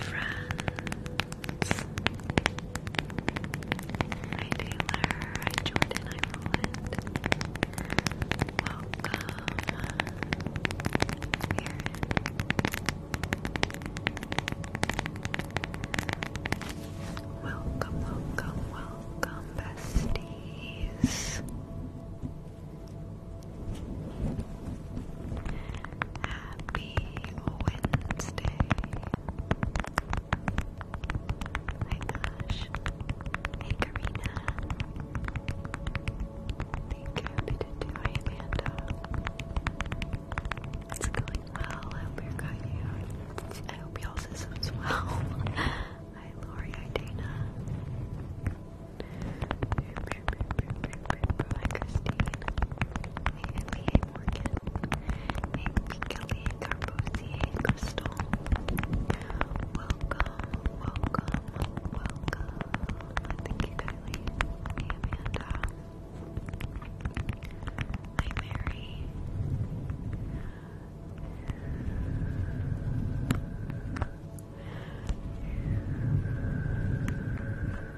friends. Hi Taylor, hi Jordan, hi Roland. Welcome, welcome, welcome, besties. Happy Wednesday. My gosh. Hey, Karina. Thank you. to do. Hey, Amanda. It's going well. I hope you got you. I hope y'all's is well. Hi, Lori. Hi, Dana. Hi, Christine. Magnesium organ, Magnecyliate crystal. Welcome, welcome, welcome. Thank you, Kylie. Hey, Amanda. Hi, Mary.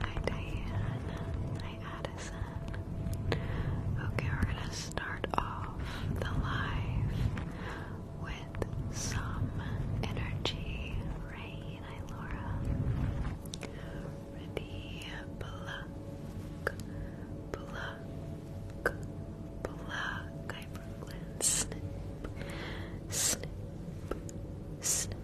Hi Diane. Hi Addison. Okay, we're gonna start off the live with some energy rain. Hi Laura. Ready? Pluck, pluck, pluck. Hi Snip, snip,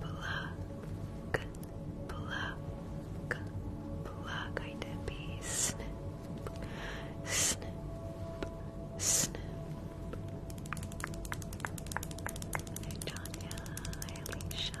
Pluck, pluck, pluck. I did be snip, snip, snip. Hey, Tanya. Hi, Alicia.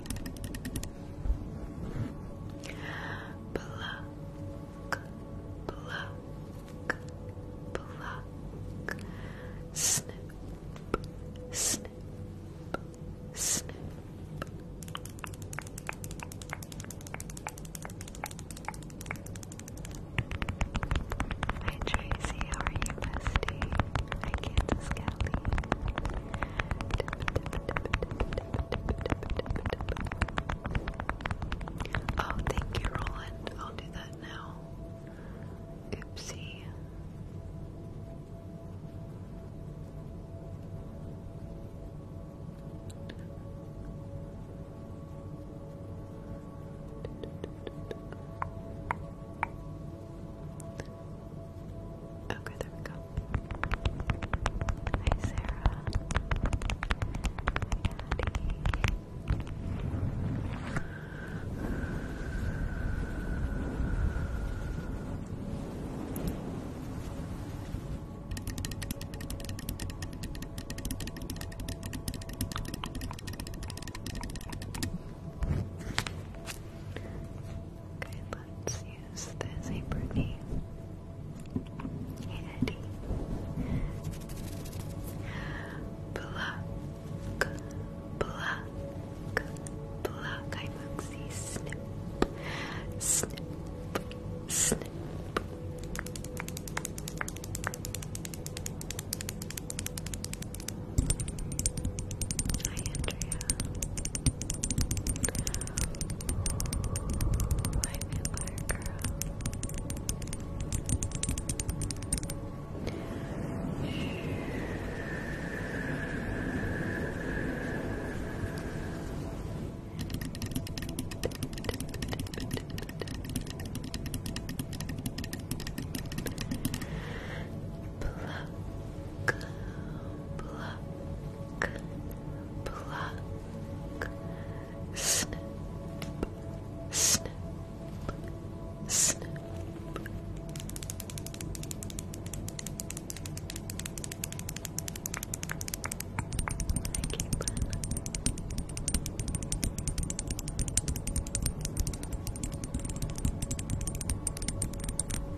Pluck, pluck, pluck. Snip, snip, snip. Hi Tracy, are you, bestie? Hi Kansas Kelly. Oh, thank you, Roland. I'll do that now. Oopsie. Okay, there we go. Hi, Sarah. Okay, Let's use this apron. Eddie. Pluck, pluck, pluck. I Mugsy. Snip, snip, snip. Hi, Andrea. My vampire girl. Pluck, pluck, pluck, pluck, snip, snip, snip. Thank you, Brenna.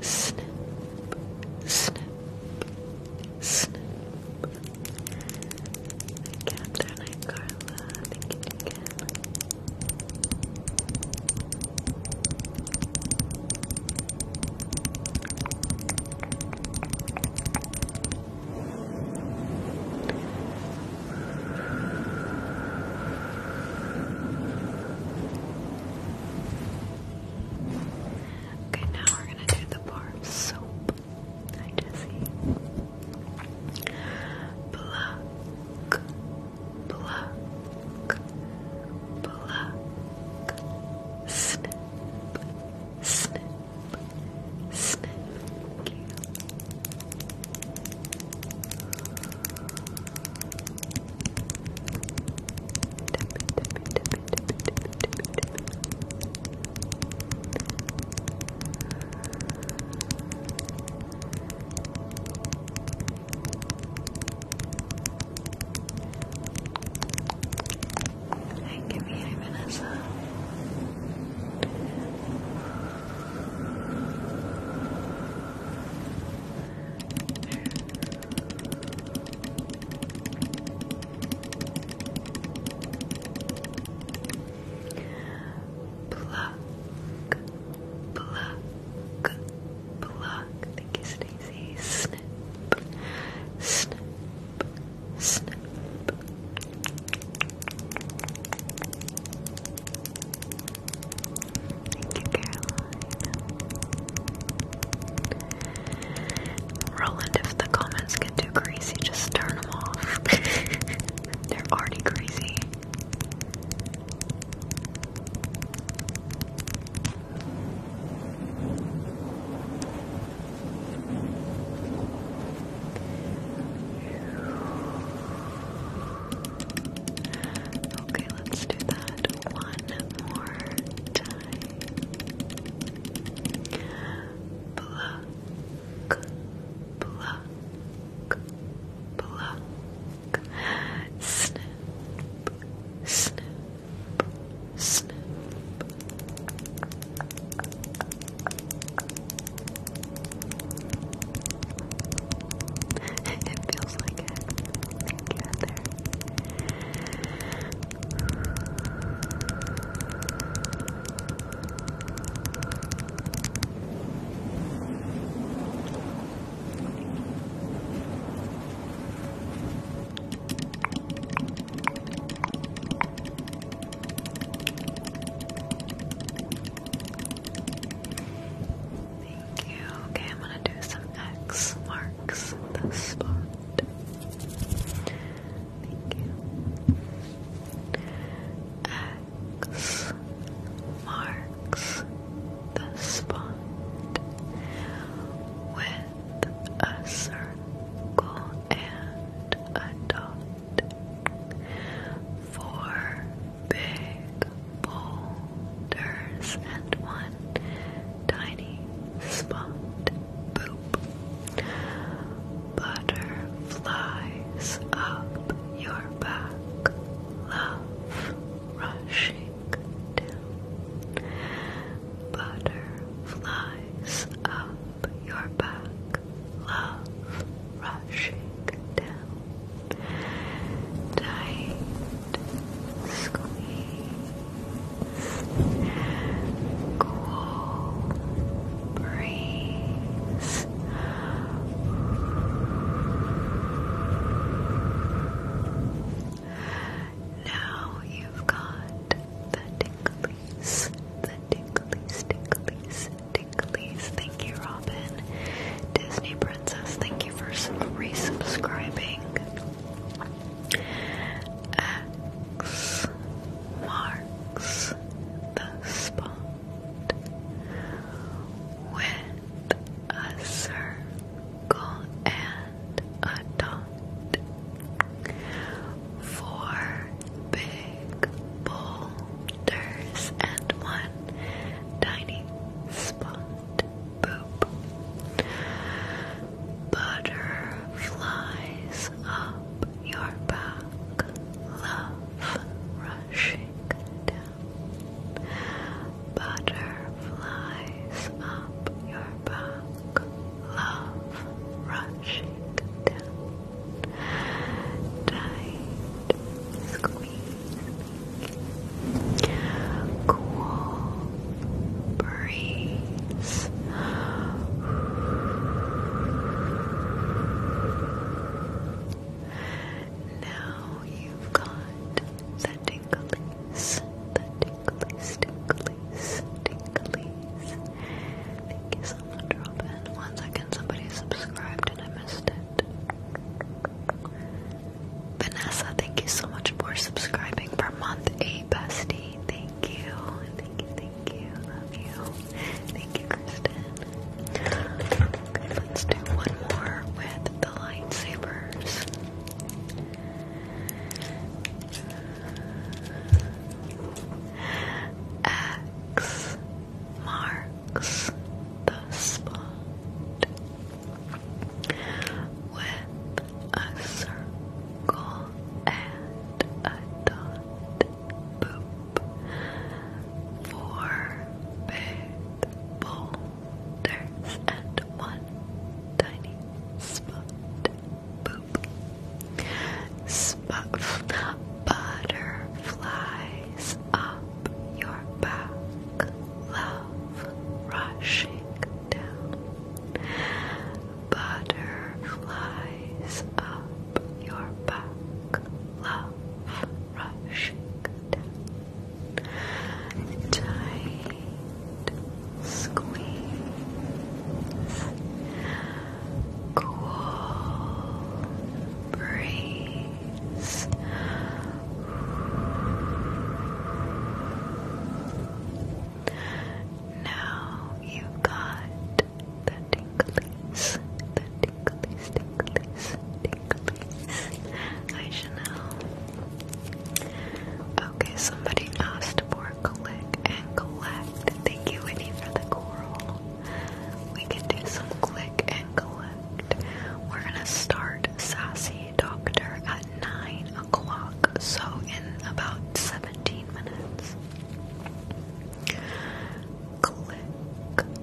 snip, snip, snip. Catherine and Carla, thank you Okay, now we're gonna do the bar soap. Hi, Jesse. Pluck, pluck, pluck. Snip, snip, snip. Thank you, Vanessa. Pluck, pluck, pluck. Thank you, Stacey. Snip, snip, snip. Thank you, Caroline. Roland, if the comments get too crazy, just turn them off. They're already crazy. Okay, let's do that one more time. Pluck, pluck, pluck. Snip, snip, snip. it feels like it. Thank you, Heather. Thank you. Okay, I'm gonna do some X marks the spot. Thank you. X marks the spot with a circle and a dot. Four big bold cylinders and one tiny spot. Boop. Butter flies up your back. Love rushing down. Butter up your back. Love rushing down. Dying squeeze, cool Now you've got the ticklies, the ticklies, ticklies, ticklies. Thank you, Robin. Disney Princess, thank you for resubscribing. X marks the spot with a circle and a dot. Four big boulders and one tiny spot boop. Butterflies up your back, love rushing down. Butterflies up your back, love rushing down. Tight squeeze, cool breeze. Now you've got the tinglies, the tinglies, tinglies, tinglies. Thank you so much, Robin. Once somebody subscribed and I missed it. Vanessa, thank you so much for subscribing for month a bestie. Thank you. Thank you, thank you. Love you. Thank you, Kristen. let's do one more with the lightsabers. X marks the spot with a circle and a dot. Boop. Four big boulders and one tiny spot. Boop. Spot. Butterflies up your back. Love rushing down butterflies up your back, love rushing Tight squeeze, cool breeze. Now you've got the tinklies, the tinklies, tinklies, tinklies. I should know. Okay, somebody asked for click and collect. Thank you, Winnie, for the coral. We can do some click and collect. We're gonna start Sassy Doctor at 9 o'clock, so in about 17 minutes. Click and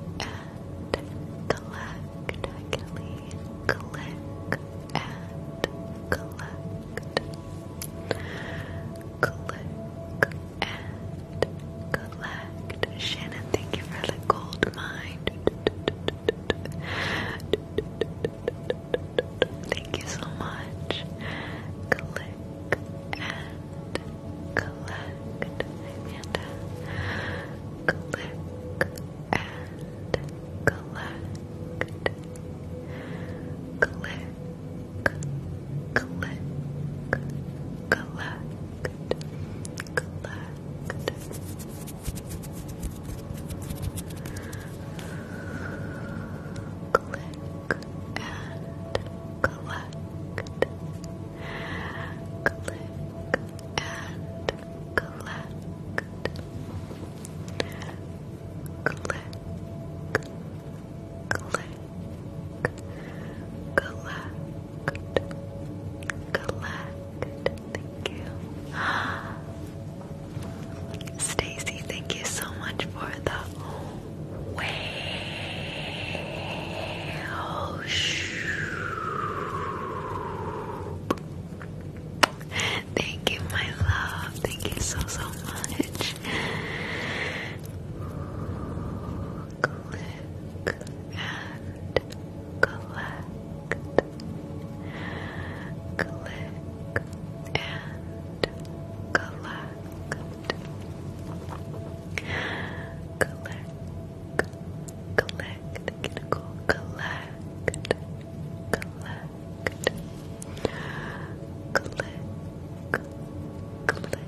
collect, Kelly. and collect. Click and collect. Shannon, thank you for the gold mine. Thank you so much. Click and collect. Amanda. Click and collect. Click, click, collect, collect click and collect, click and collect, click, click, collect, collect, thank you. Stacy, thank you so much for the whale. Thank you, my love. Thank you so, so much. Click and collect. Click and collect, collect, collect, go collect, collect, collect, collect, collect, collect, collect collect.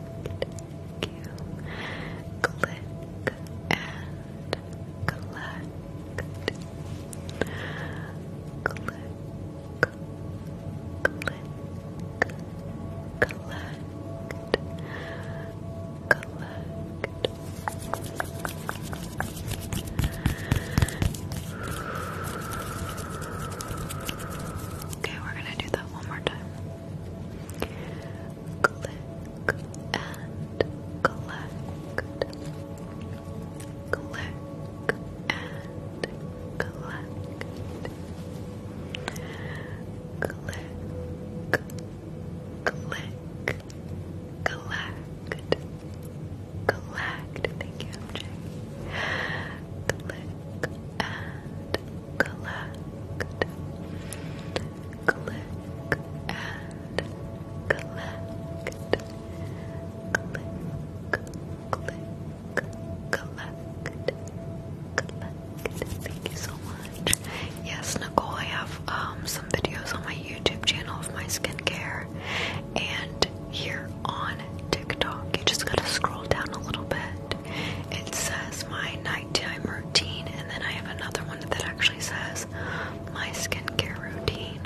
Thank you. Click and collect. Click, click, collect. Collect. Okay, we're gonna do the one more time. Click and collect. Click and collect. Click, click, collect. Collect. Thank you, MJ. Click and collect, click and collect, click, collect, collect. Thank you so much. Yes, Nicole, I have um, some videos on my YouTube channel of my skincare and here on TikTok. You just gotta scroll down a little bit it says my nighttime routine, and then I have another one that actually says my skincare routine.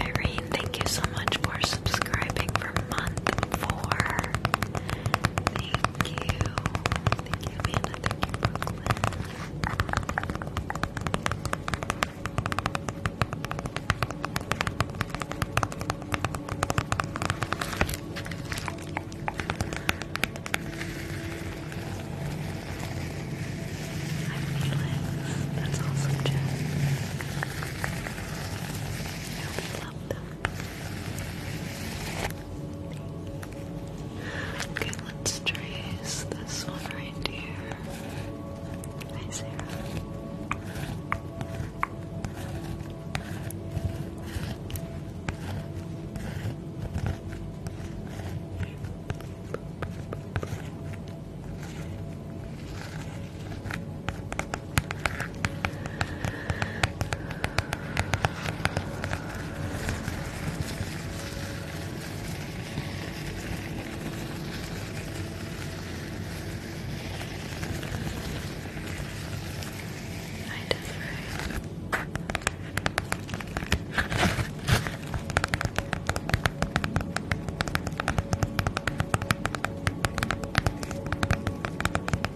Irene, thank you so much for subscribing subscribing for month four. Thank you. Thank you, I'm Felix. That's awesome, Jen. I hope you love them. Okay, let's trace this one right here. Hi, Sarah. I just right.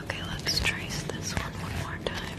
Okay, let's trace this one one more time.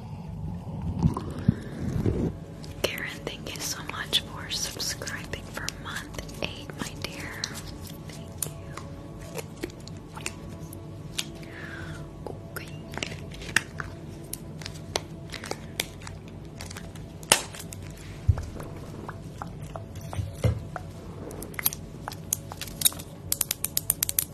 Karen, thank you so much for subscribing for month eight, my dear.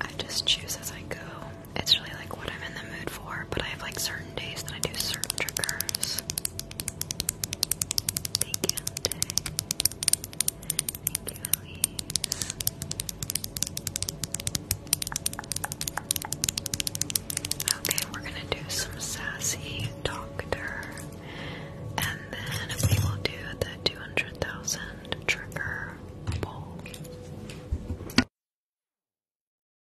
I just choose as I go. It's really like what I'm in the mood for, but I have like certain days that I do certain triggers. Okay, we're gonna do some sassy doctor, and then we will do the two hundred thousand trigger bowl.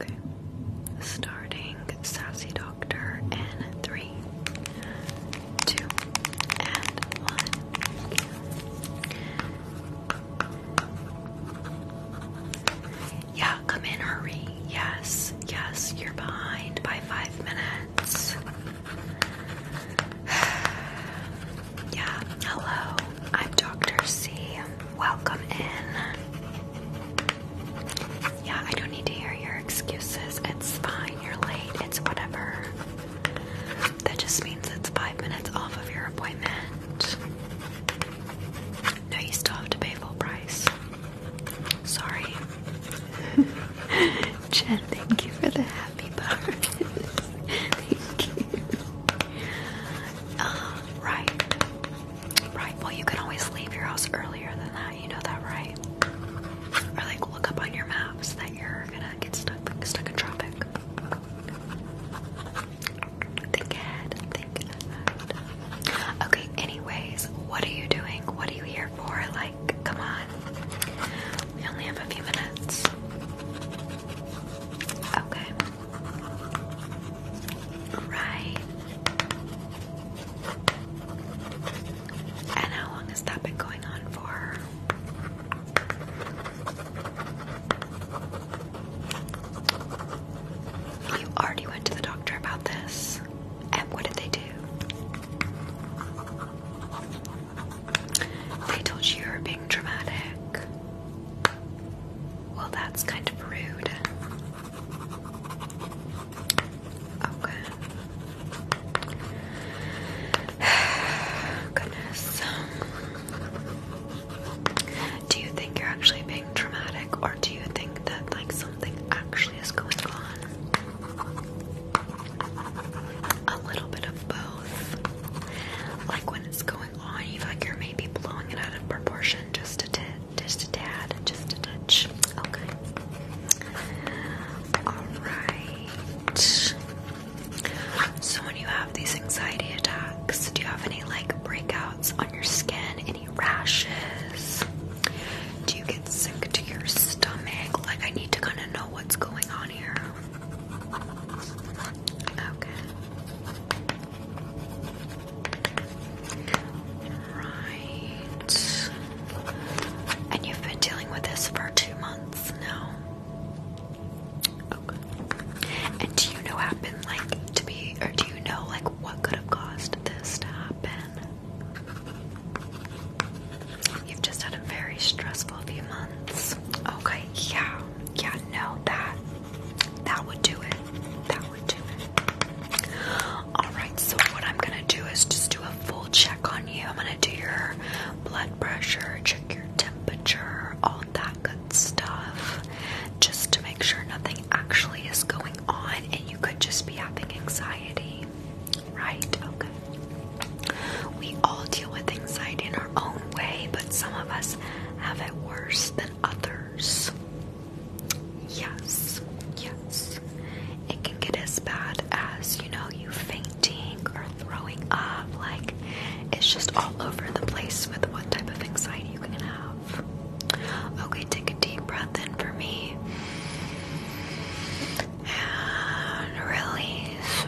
Okay, starting Sassy Doctor in three, two, and one. Yeah, come in, hurry. Yes, yes, you're behind by five minutes. yeah, hello. I'm Dr. C. Welcome in. Yeah, I don't need to hear your excuses. It's fine. You're late. It's whatever. That just means it's five minutes off of your appointment. No, you still have to pay full price. Sorry. Chad. thank you for the happy birthday. thank you. Uh, right. Right. Well, you can always leave your house earlier than that. You know that, right? Or like look up on your maps that you're gonna get stuck stuck in traffic. Okay, anyways, what are you doing? What are you here for? Like, come on. We only have a few minutes. Okay. Right. And how long has that been going on for? You already went to the doctor about this. And what did they do? They told you you are being dramatic. Well, that's kind of rude. Okay. Goodness. Do you think you're actually being dramatic, or do you think that like something actually is going on? A little bit of both. Like when it's going on, you like you're maybe blowing it out of proportion just a tad, just a tad, just a touch. Okay. All right. So when you have these anxiety attacks, do you have any like breakouts on your skin? Any rashes? Do you get sick to your stomach? Like I need to kind of know what's going on here. Okay. Right. And you've been dealing with this for two months now. Okay. And do you know happen like to be or do you know like what could have caused this to happen? You've just had a very stressful few months. Okay, yeah. Yeah, no, that that would do it. That would do it. Alright, so what I'm gonna do is just do a full check on you. I'm gonna do your blood pressure, check your temperature, all that good stuff just to make sure nothing actually is going on and you could just be having anxiety, right? Okay. We all deal with anxiety in our own way, but some of us have it worse than others. Yes, yes. It can get as bad as, you know, you fainting or throwing up. Like, it's just all over the place with what type of anxiety you can have. Okay, take a deep breath in for me. And release.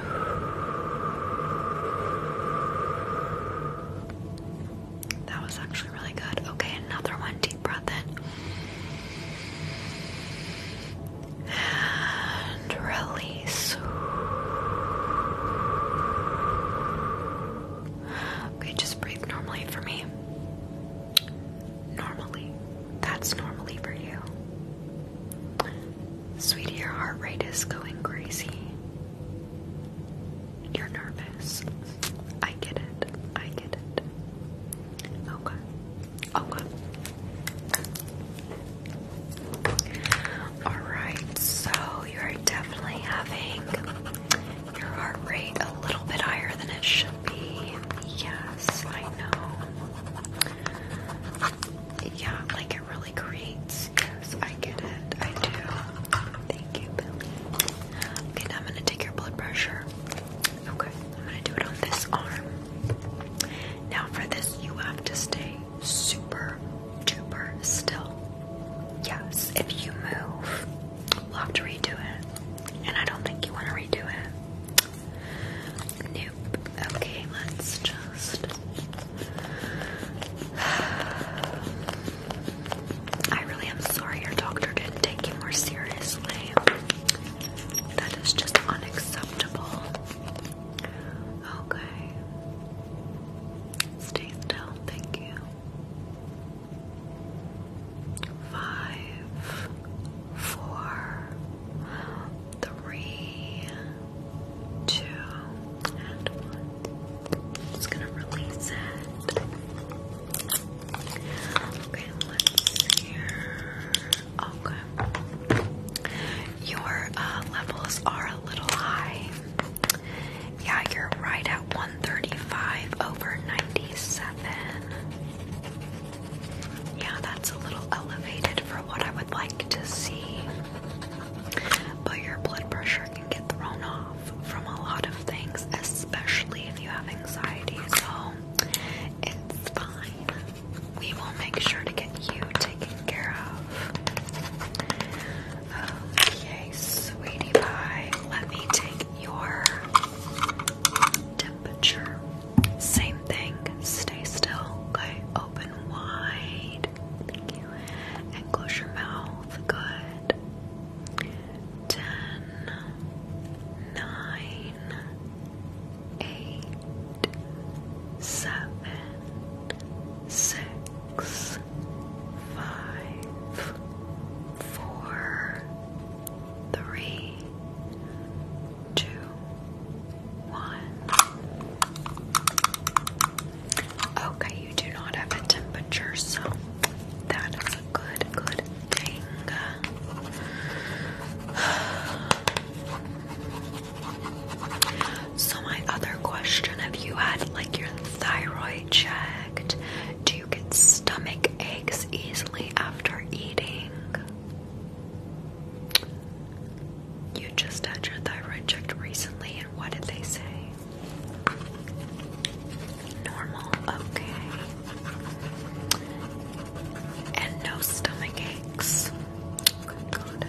That was actually really good. Okay, another one. Deep breath in release. Okay, just breathe normally for me. Normally. That's normally for you. Sweetie, your heart rate is going crazy. You're nervous. I get it. I get it. Okay. Okay. Alright, so you're definitely having your heart rate a little bit higher than it should be. Yes, I know. Yeah, like it really creates. Yes, I get it. I do. Thank you, Okay, now I'm gonna take your blood pressure. Okay, I'm gonna do it on this arm. Now, for this, you have to stay super duper still. Yes, if you move, we'll have to redo it. And I don't think you want to redo it. Nope. Okay, let's just. I really am sorry your doctor didn't take you more seriously. That is just unacceptable. Okay. Stay still, thank you. Five, four, three, two, and one. Just gonna release it. Okay, let's hear. Okay. Your uh, levels are a little high. Yeah, you're right at 135 over 97. Yeah, that's a little elevated for what I would like to see. But your blood pressure can get thrown off from a lot of things, especially if you have anxiety. So it's fine. We will make sure to get you taken care of. Okay, sweetie pie, let me take your temperature. Same thing, stay still. Okay, open wide. Thank you. And close your mouth. Good. Ten, nine, eight, seven six, five, four, three, two, one. Okay, you do not have a temperature, so that is a good, good thing. So, my other question have you had like your thyroid checked? Do you get stomach aches easily after eating? You just had your thyroid checked recently, and what did they say? Normal, okay. And no stomach aches. Good,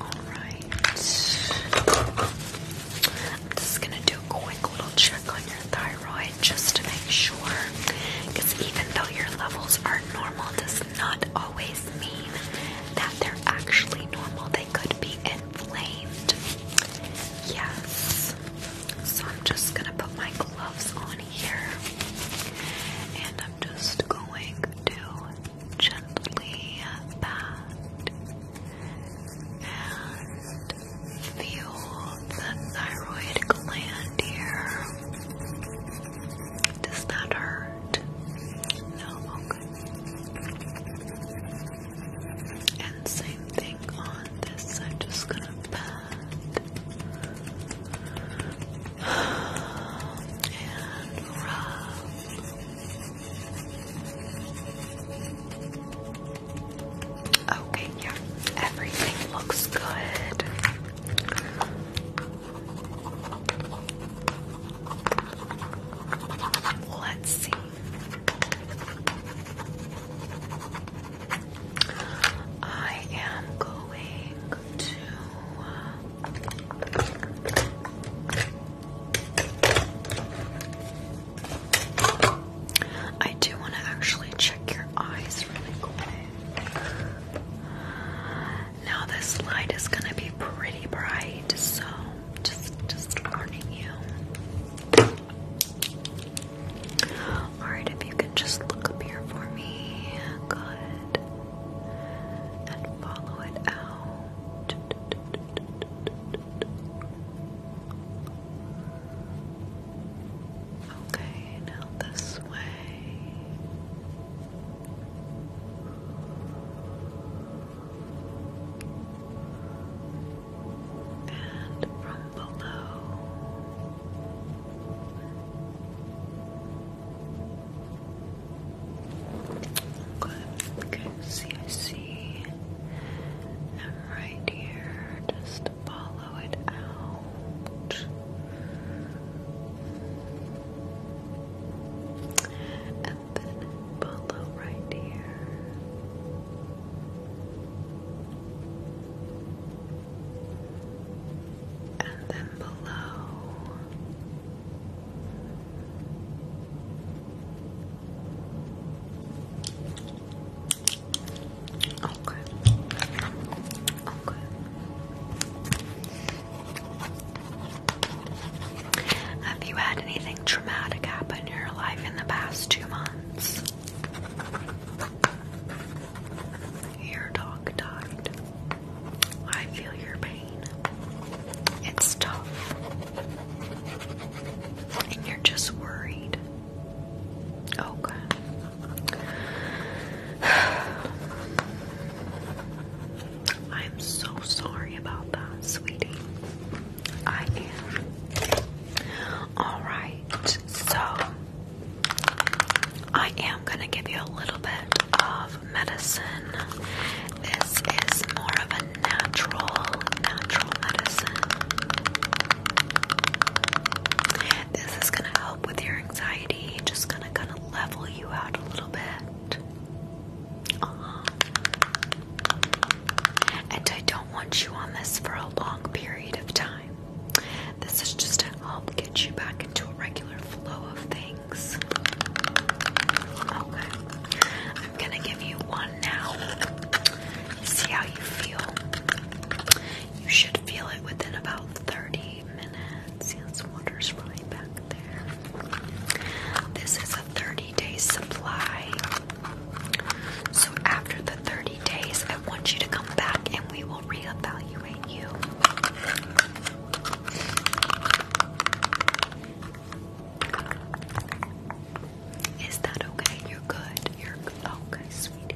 Alright. I'm just gonna do a quick little check on your thyroid just to make sure. Because even though your levels are normal, does not always mean that they're actually normal. They could be inflamed. Yes. So I'm just gonna put my gloves on here. And I'm just going to gently at and feel the thyroid gland here. Does that hurt? No, And same thing on this side, just gonna pat. Okay, yeah, everything looks good. Let's see. I am going to uh, I do want to actually check your eyes really quick. Now this light is going to be pretty bright, so just just warning you. All right, if you can just look up here for me. Good and follow it out. Okay, now this way. And from below. Good. Okay, see, I see. right here, just follow it out. And then follow right here. And then below. Okay. Okay. Have you had anything traumatic happen in your life in the past two months? Your dog died. I feel your pain. It's tough. And you're just worried. Okay. Oh, I'm so sorry about that, sweetie. I am. Alright, so I am going to give you a little bit of medicine. This is more of a natural, natural medicine. This is gonna help with your anxiety, just gonna kind of level you out a little bit. Uh -huh. And I don't want you on this for a long period of time. This is just to help get you back into a regular flow of things. Okay. I'm gonna give you one now. See how you feel. You should feel it within about 30 minutes. Yes, water's right back there. This is a 30 day supply. So after the 30 days, I want you to come back and we will reevaluate you. Is that okay? You're good. You're okay, sweetie.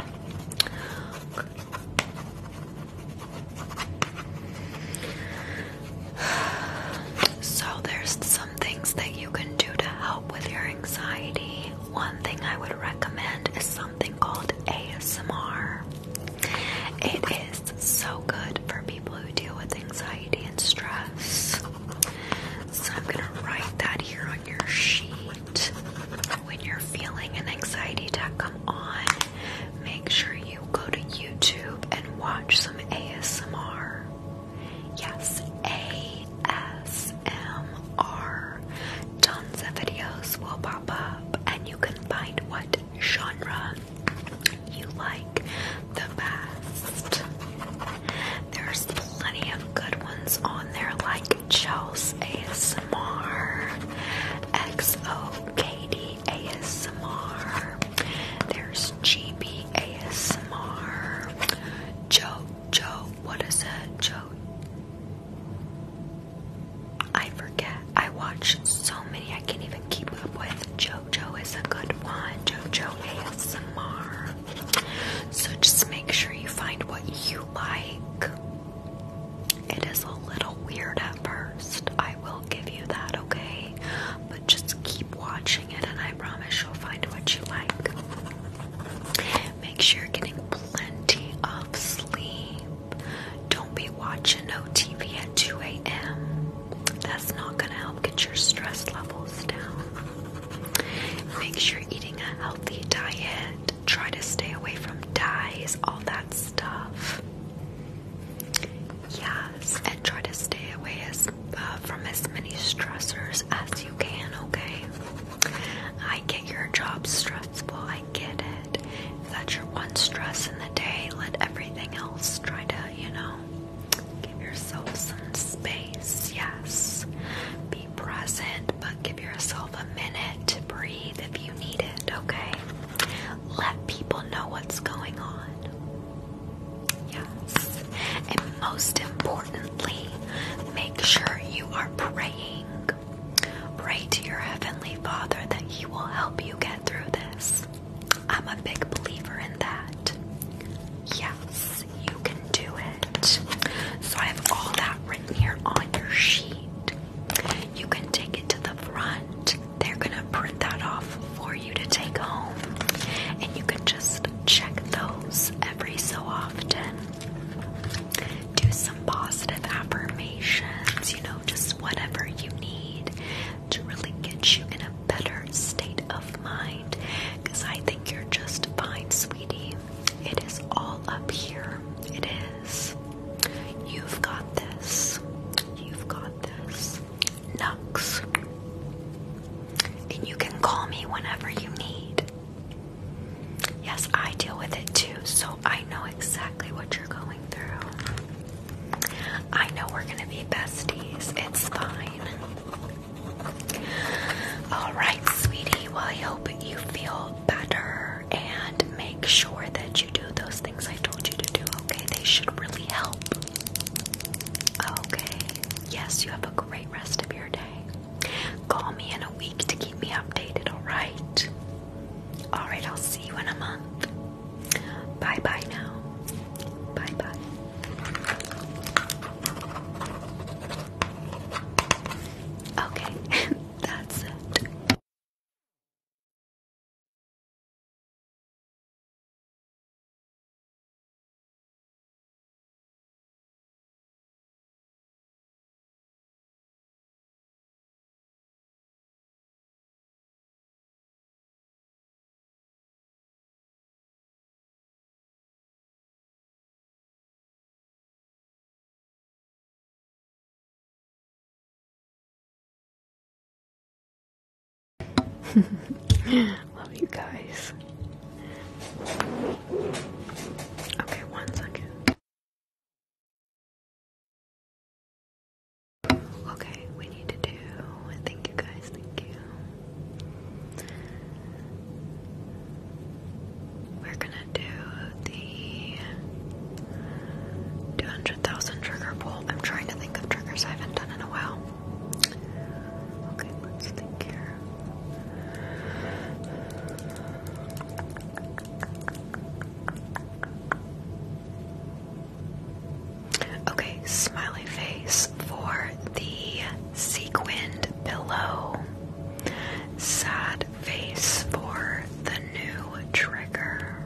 So there's some things that you can do to help with your anxiety. One thing I would recommend is something called ASMR. It is it's so good for people who deal with anxiety and stress. So I'm going to write that here on your sheet. When you're feeling an anxiety attack come on, make sure you go to YouTube and watch some ASMR. Yes, ASMR. Tons of videos will pop up and you can find what genre you like the best. There's plenty of good ones on there, like Chels ASMR, XOKD ASMR, there's GB ASMR, Joe, Joe, what is it? Joe. I forget. I watch so many I can't even keep up with. Joe JoJo is a good one. JoJo ASMR. So just make sure you find what you like. It is a little weird at first. I will give you that, okay? But just keep watching it and I promise you'll find what you like. Make sure you're getting plenty of sleep. Don't be watching OTV at 2 a.m. That's not going to help get your stress levels down. Make sure you're eating a healthy diet. Try to stay away from dyes, all that stuff. Yes, and try to stay away as, uh, from as many stressors as you can, okay? I get your job stressful, I get it. If that's your one stress in the day, let everything else try to, you know, Give yourself some space, yes. Be present, but give yourself a minute to breathe if you need it, okay? Let people know what's going on. Yes. And most importantly, make sure you are praying. Pray to your Heavenly Father that He will help you get through this. I'm a big believer in that. Yes, you can do it. So I have all that written here on your sheet. You can take it to the front. They're gonna print that off for you to take home. And you can just check those every so often. Do some positive affirmations, you know, just whatever you need to really get you in a better state of mind. Because I think you're just fine, sweetie. It is all up here. It is. You've got this. You've got this. Nux. And you can call me whenever you need. Yes, I deal with it too, so I know exactly what you're going through. I know we're gonna be besties. It's fine. All right, sweetie. Well, I hope you feel better and make sure that you do those things I told you to do, okay? They should really help. Okay. Yes, you have a great rest of your day. Call me in a week to keep me updated, all right? All right, I'll see you in a month. Bye bye now. Bye bye. Okay, that's it. Love you guys. Okay, one second. Okay, we need to do. Thank you guys, thank you. We're gonna do the 200,000 trigger pull. I'm trying to think of triggers I haven't done in a while. Okay, let's think here. Okay, smiley face for the sequined pillow. Sad face for the new trigger.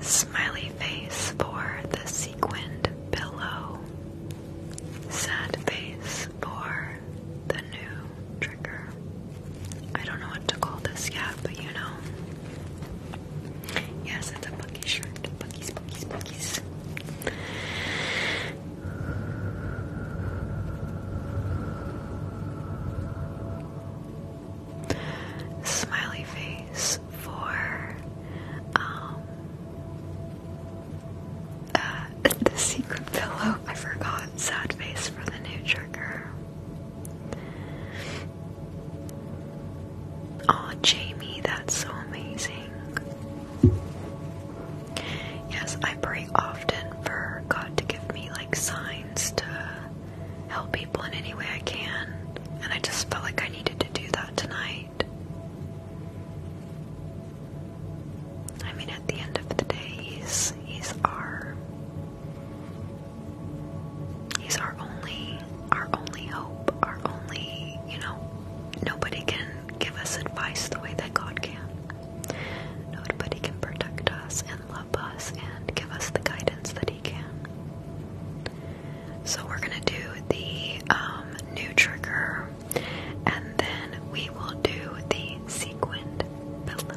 Smiley face for the sequined pillow. Sad face for the new trigger. I don't know what to call this yet, but you know. Yes, it's a Bucky shirt. Bucky's, Bucky's, Bucky's. Smiley face for um, uh, the secret pillow. I forgot. Sad face for the new trigger. Oh, Jamie, that's so amazing. Yes, I pray often for God to give me like signs to help people in any way I can, and I just felt like I needed to do that tonight. I mean, at the end of the day, he's he's our he's our only our only hope, our only, you know, nobody can give us advice the way that God can. Nobody can protect us and love us and give us the guidance that He can. So we're going to do the um, new trigger and then we will do the sequined pillow.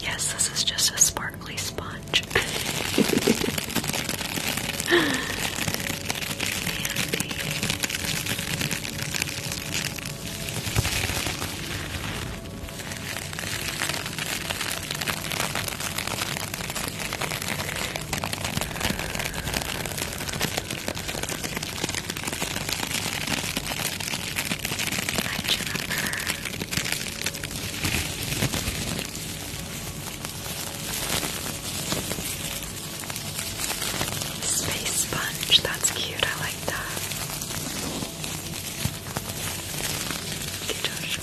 Yes, this is just a sparkly sponge. Hi, Space sponge, that's cute, I like that. Thank you,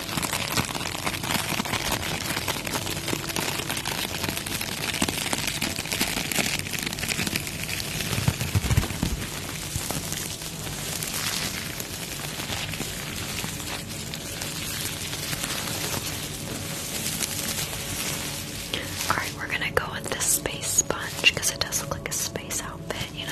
All right, we're gonna go with this space sponge because it does look like a space outfit, you know.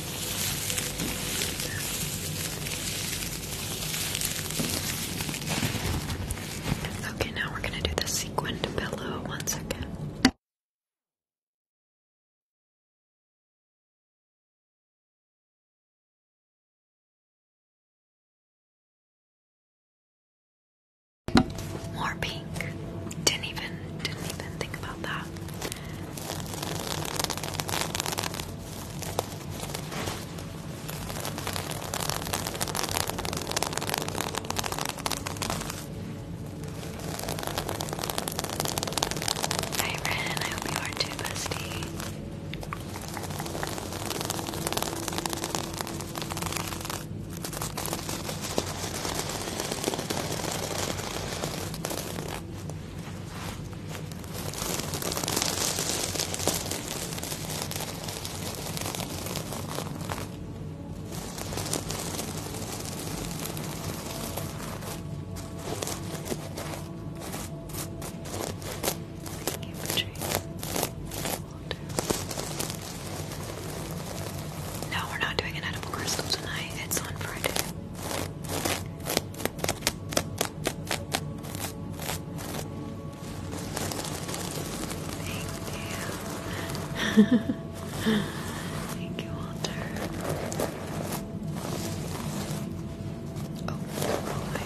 Okay, now we're going to do the sequined pillow once again. More pink. Didn't even didn't even think about that. Hi Ren, I hope you are too, bestie. No, we're not doing an edible crystal tonight. It's on Friday. Thank you. Thank you, Walter. Oh, boy.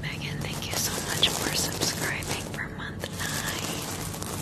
Megan, thank you so much for subscribing for month nine.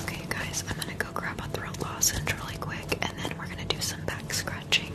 Okay, guys, I'm gonna go grab a throat lozenge really quick and then we're gonna do some back scratching.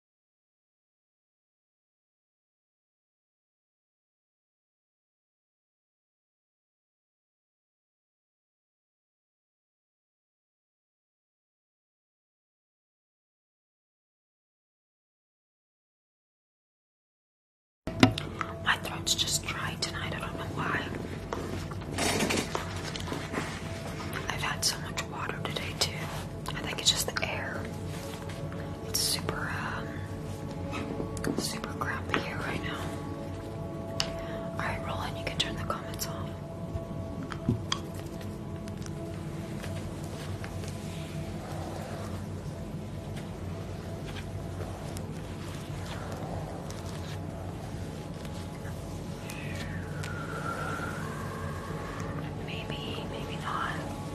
My throat's just dry tonight. I don't know why. I've had so much water today, too. I think it's just the air. It's super, um, super crappy here right now. Alright, Roland, you can turn the comments off. Maybe, maybe not.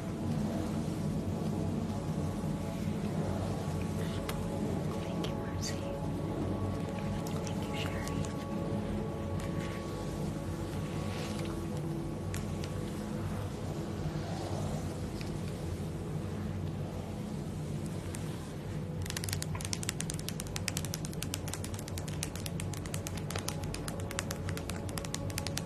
Thank you, Mercy. Thank you, Sherry.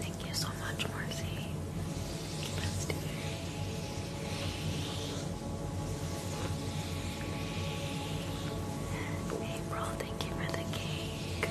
Thank you so much, Marcy. April, thank you for the cake.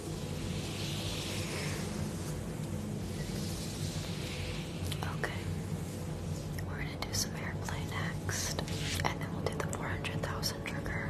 Okay. We're gonna do some airplay next, and then we'll do the 400,000 trigger.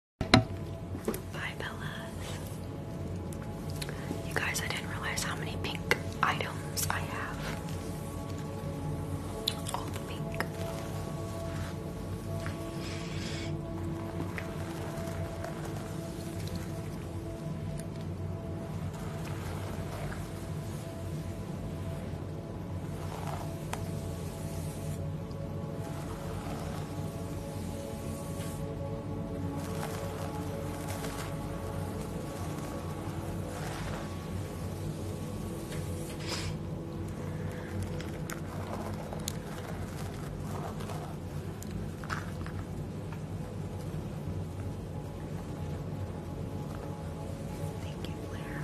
Bye, Bellas. You guys, I didn't realize how many pink items I have. All pink. Thank you, Claire.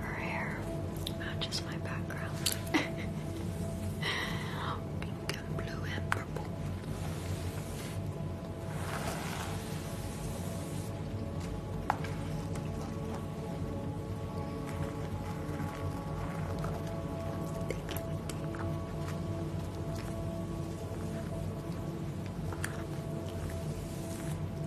Her hair matches my background. Pink and blue and purple. Thank you,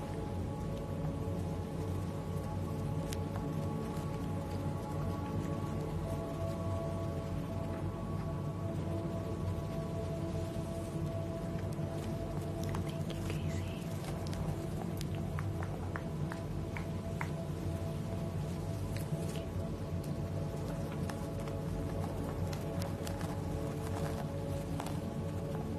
Thank you, Casey. Thank you. Thank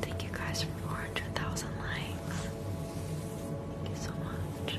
Thank you guys for 400,000 likes. Thank you so much.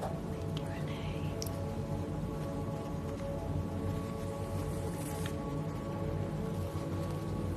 Thank you, Renee.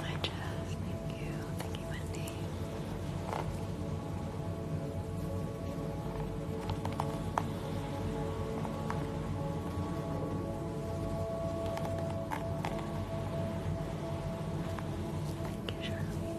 Hi Jess, thank you. Thank you, Wendy. Thank you, Charlie. Thank you.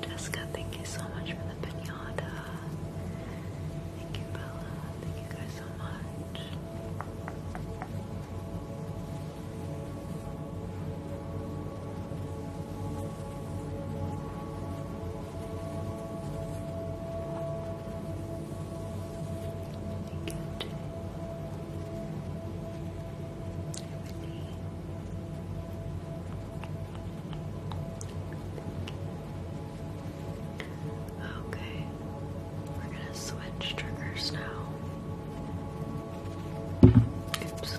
Jessica, thank you so much for the pinata. Thank you, Bella. Thank you guys so much. Okay, we're gonna switch triggers now. Oops.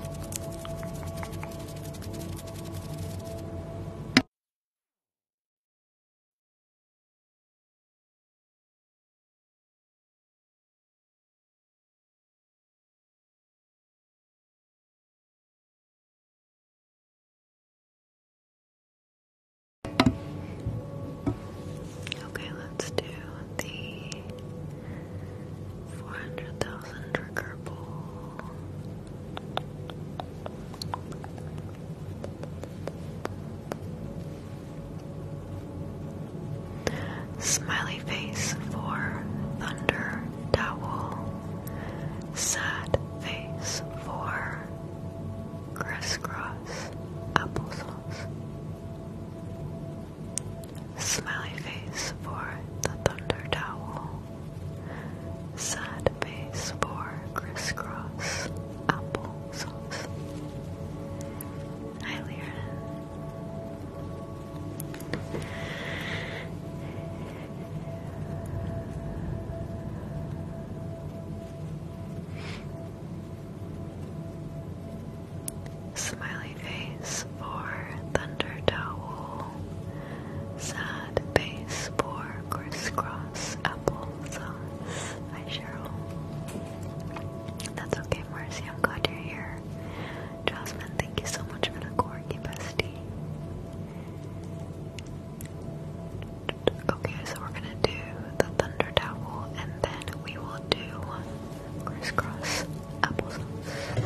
Okay, let's do the 400,000 trigger pull. Smiley face for thunder towel. Sad face for crisscross applesauce. Smiley face for the thunder towel. Sad face for crisscross apple sauce. Hi, Lyra. Smiley face for thunder towel. Sad Base for Crisscross Apple Sauce uh, Cheryl. That's okay, Marcy. I'm glad you're here. Jasmine, thank you so much for the corky bestie. Okay, so we're gonna do the thunder towel and then we will do crisscross applesauce.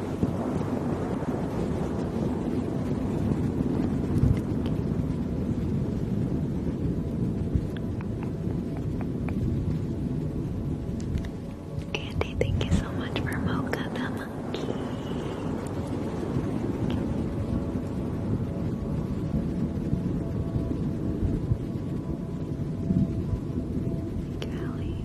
Andy, thank you so much for Mocha the Monkey. Callie.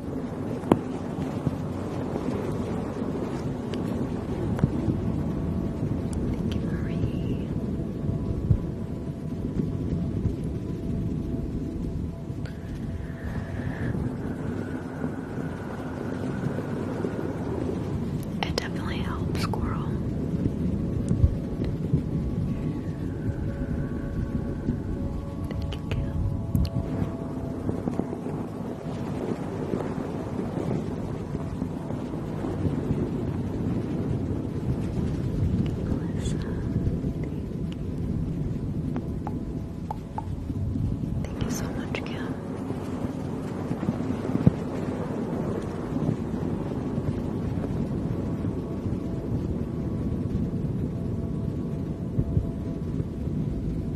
Thank you, Marie. It definitely helps, squirrel. Thank you, Gil thank you. so much, Kim.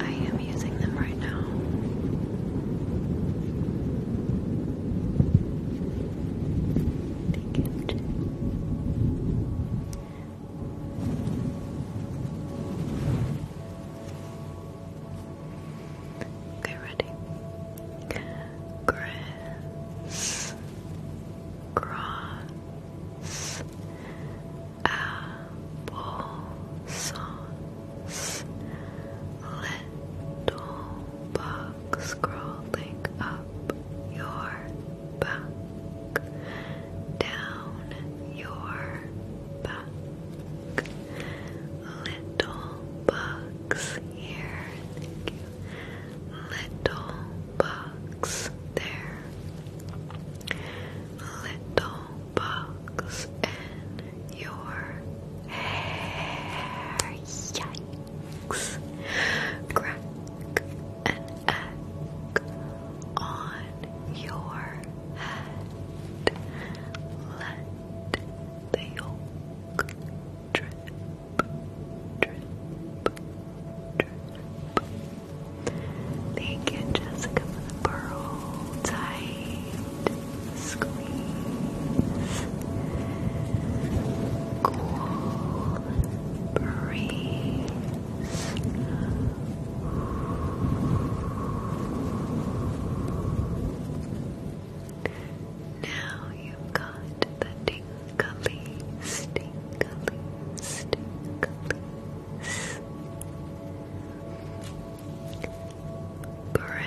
I am using them right now. Thank you. Okay, ready? Chris Cross Apple little bug crawling up your back, down your back. Little bugs here, Little bugs there. Little bugs in your hair. Yikes. Crack an on your head. Let the yolk drip, drip, drip. Thank you, Jessica, for the pearl time squeeze, cool Now you got the tingleys, tingleys, tingleys. Criss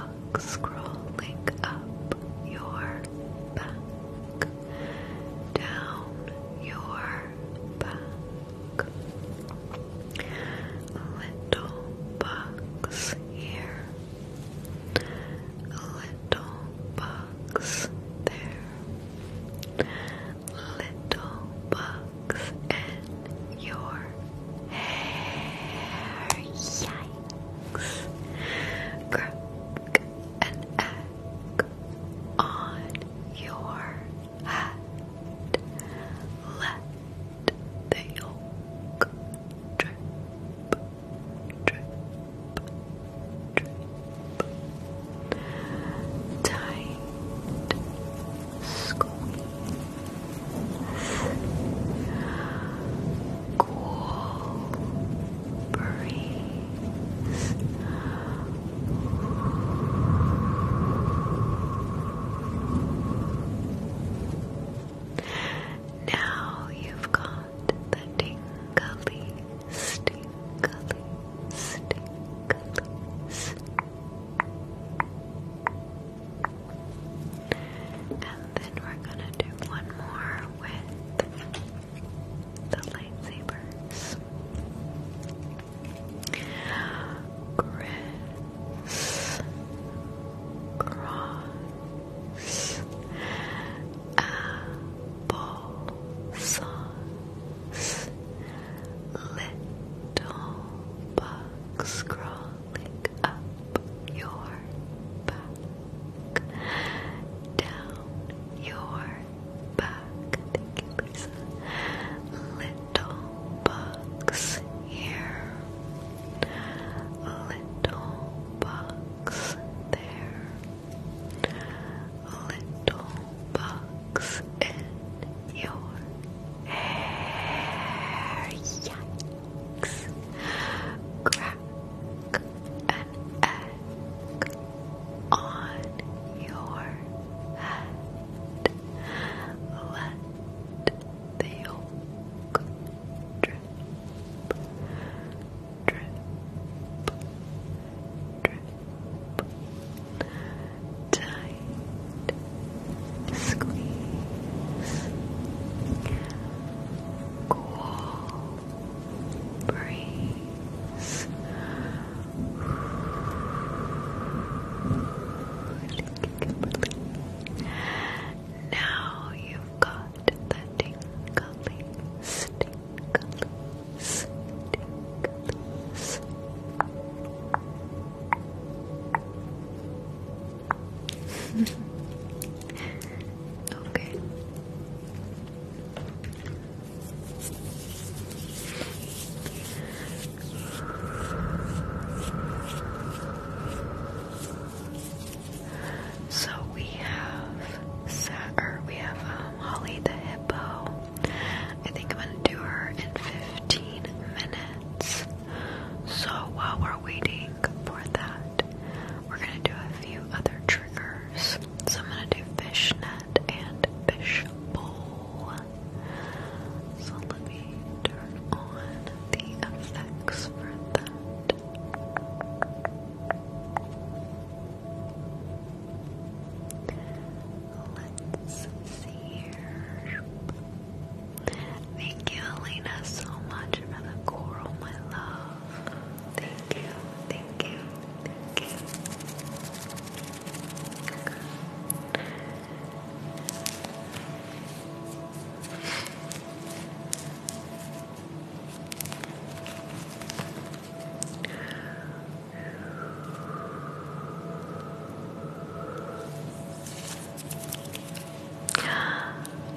bugs crawling up your back down your back little bugs here little bugs there, little bugs in your hair. Yikes! Crack an egg on your head. Let the yolk, drip, drip, drip, tight, squeeze, cool, breeze. Now you've got the tingly, stingly, stingly, and then we're gonna do one more with the lightsabers. Chris cross, cross, little bugs crawling up your back, down your back. Little bugs here little box there, little box in your hair. Yikes! Crack an egg on your head. Let the yolk drip drip, drip, tight, squeeze, cool, breeze. Now you you've got the tingly, stingly, okay. So we have or we have um, Holly the hippo. I think I'm gonna do her in 15 minutes. So while we're waiting for that, we're gonna do a few other triggers. So I'm gonna do fishnet and fish bowl. So let me turn on the effects for that. Let's see here. Thank you, Elena, so much for the coral, my love. Thank you, thank you, thank you.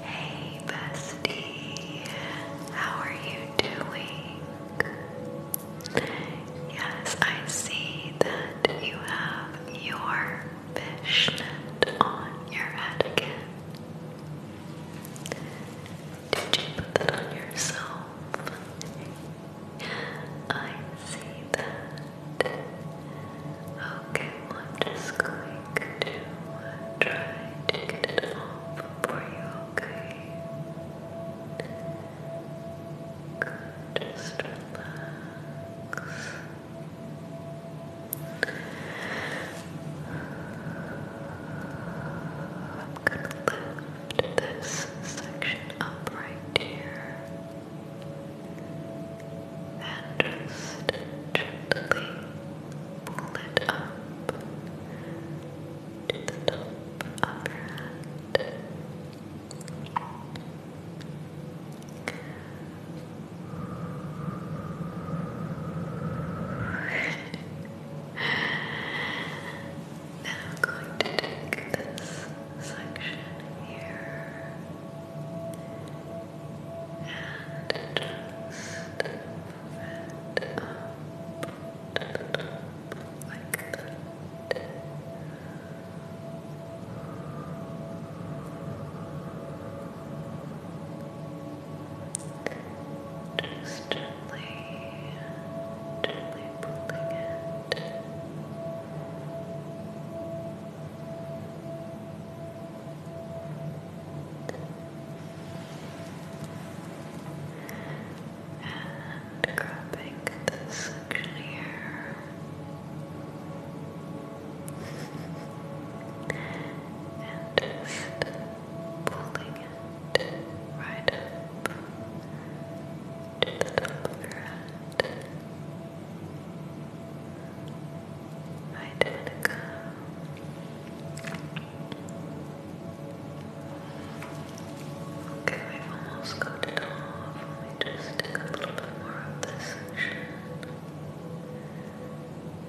Hey, bestie, how are you doing? Yes, I see that you have your fishnet on your head again? Did you put that on yourself? I see that. Okay, I'm just going to try to get it off for you, okay? Good, just relax. I'm going to lift this section up right here and just gently pull it up to the top of your hand now I'm going to take this section here and just move it up like that. Good. Just gently, gently pulling it. And grabbing this section here and just pulling it right up to the top of your head. Right in the go. Okay, we almost got it off. Let just take a little bit more of this section.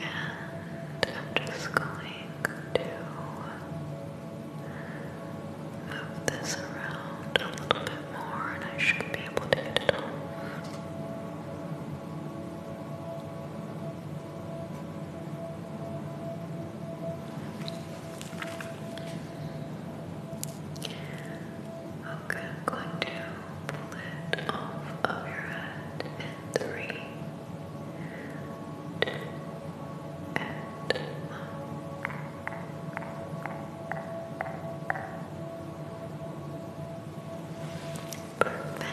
And I'm just going to move this around a little bit more, and I should be able to get it all. Okay, I'm going to lid off of your head in three, two, and one. Perfect.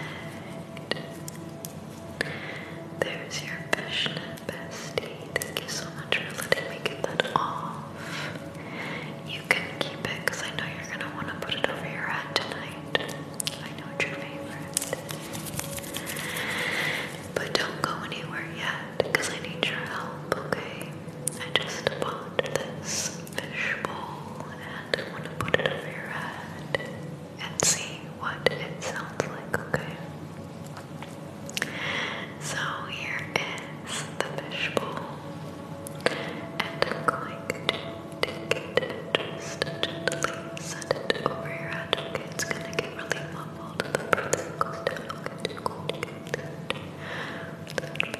There's your fishnet bestie. Thank you so much for letting me get that off. You can keep it because I know you're going to want to put it over your head tonight. I know it's your favorite. But don't go anywhere yet because I need your help, okay? I just bought this fishbowl and I want to put it over your head and see what it sounds like, okay? So here is the fishbowl. And I'm going to take it just gently send over your head. Okay, it's gonna get really mumbled. Okay, it's cool to get that. Perfect.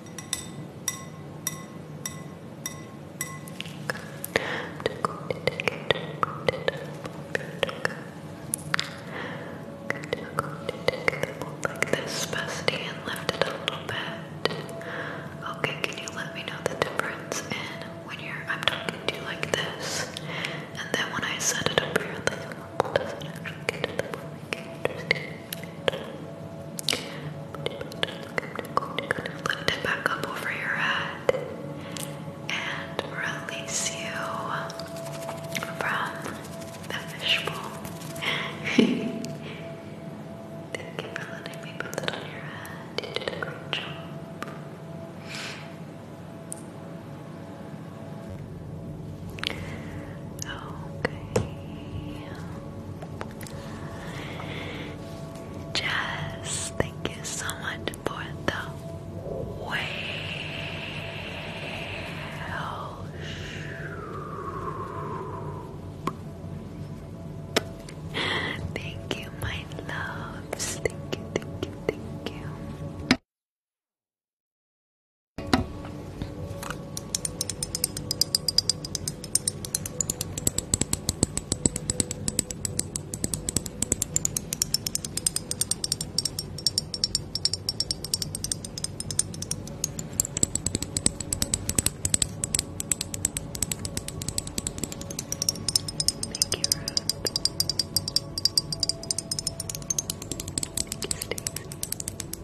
like this, bestie, and lift it a little bit. Okay, can you let me know the difference in when you're I'm talking to you like this, and then when I set it up here, like, does it Lift it back up over your head and release you from the fishbowl. Thank you for letting me put it on your head. You did a great job. Okay. Jess, thank you so much for the whale. Thank you, my loves. Thank you, thank you, thank you. Thank you, Rob. Thank you, Stacey.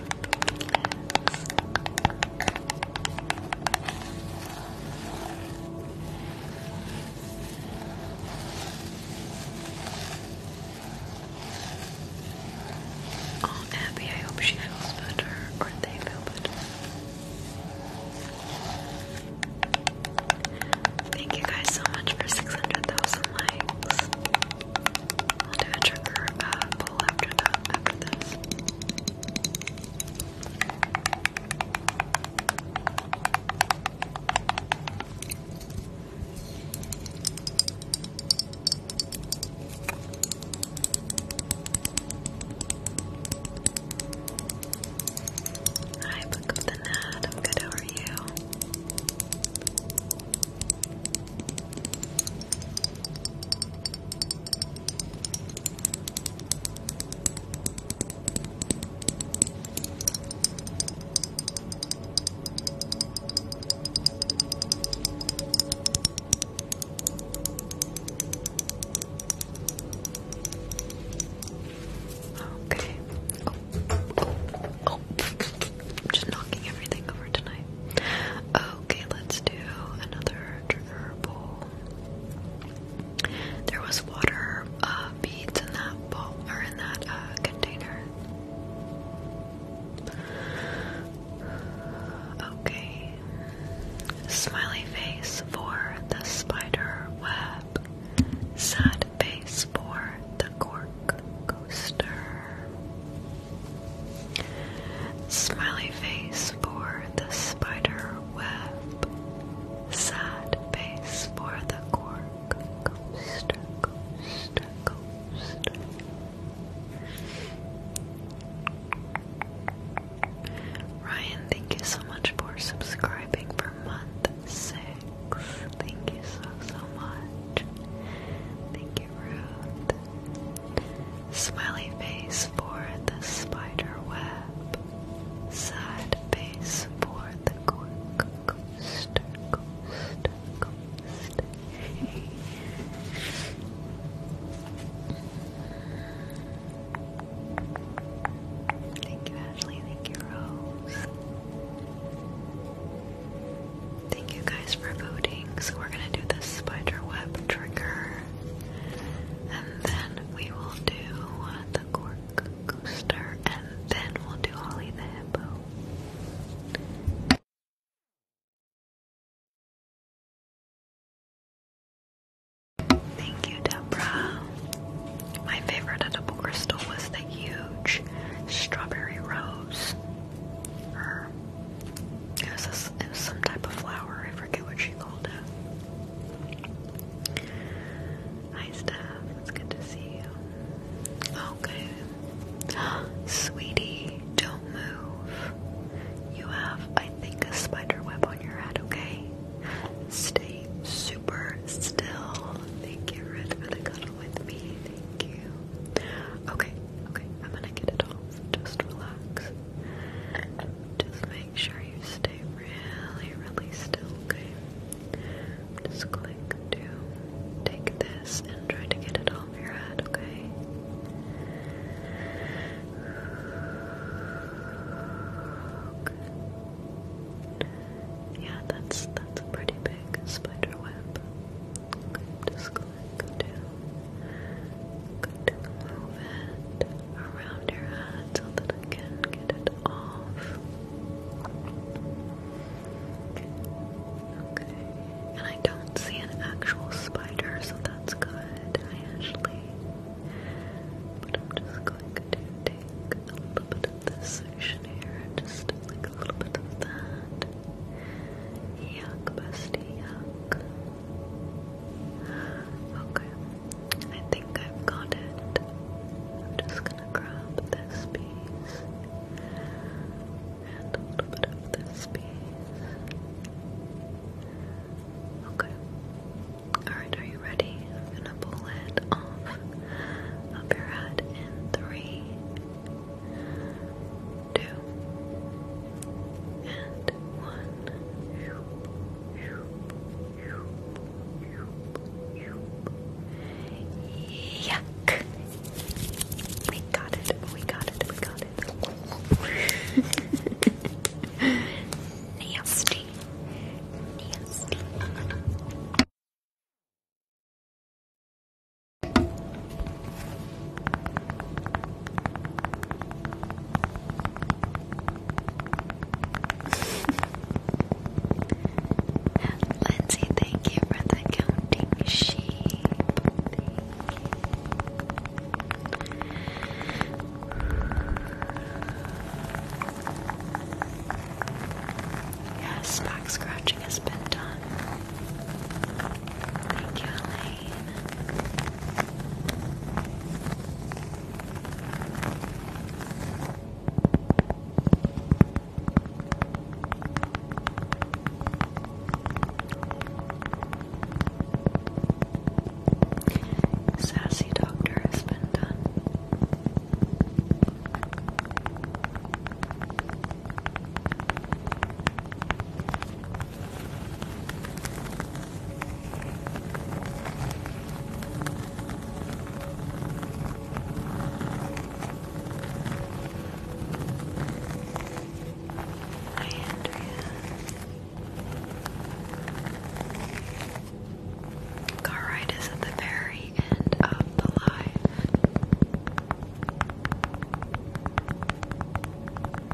Oh, Abby, I hope she feels better, or they feel better. Thank you guys so much for 600,000 likes. I'll do a trigger uh, pull after that, Hi, Book of the Nat. I'm good. How are you? Okay. Oh. Oh. I'm oh. just knocking everything over tonight. Oh. Okay, let's do another trigger bowl. There was water uh, beads in that bowl or in that uh, container. Okay. Smiley face for the spider web. Sad face for the cork coaster. Smiley face for the spider web. Sad face for the cork. Coaster, coaster, coaster. Ryan, thank you so much for subscribing for month six. Thank you so, so much. Thank you. Smiley face for the spider web. Sad face for the cork Thank you, Ashley. Thank you, Rose. Thank you guys for voting, so we're gonna do the spider web trigger, and then we will do the cork coaster, and then we'll do Holly the hippo. Thank you, Deborah. My favorite edible crystal was the huge strawberry rose. It was, some type of flower. I forget what she called it. Hi, Steph. It's good to see you. Okay. Sweetie, don't move. You have, I think, a spider web on your head, okay? Stay super still. Thank you, for the cuddle with me. Thank you. Okay, okay, I'm gonna get it off. Just relax. Just make sure you stay really, really still, okay? just going to take this and try to get it off your head, okay? Good. Yeah, that's that's a pretty big spider web. just go down. Good to move it around your head so that I can get it off. Okay. And I don't see an actual spider, so that's good. I actually. But I'm just going to take a little bit of this section here, just like a little bit of that. Yuck, bestie, yuck. Okay, I think I've got it. I'm just gonna grab this piece and a little bit of this piece. Okay. Alright, are you ready? I'm gonna pull it off of your head in three, two, and one. Yuck! We got it, we got it, we got it. Nasty. Nasty. Lindsay, thank you for the counting sheep. Yes, back scratching has been done. Thank you, Elaine. Sassy Doctor has been done. Hi, Andrea. Car ride is at the very end of the live.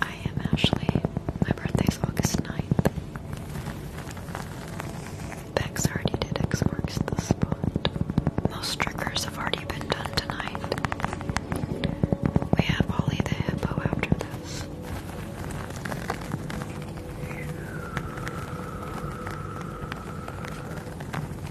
I am Ashley. My birthday is August 9th. Bex already did X marks the spot. Most triggers have already been done tonight. We have Ollie the Hippo after this.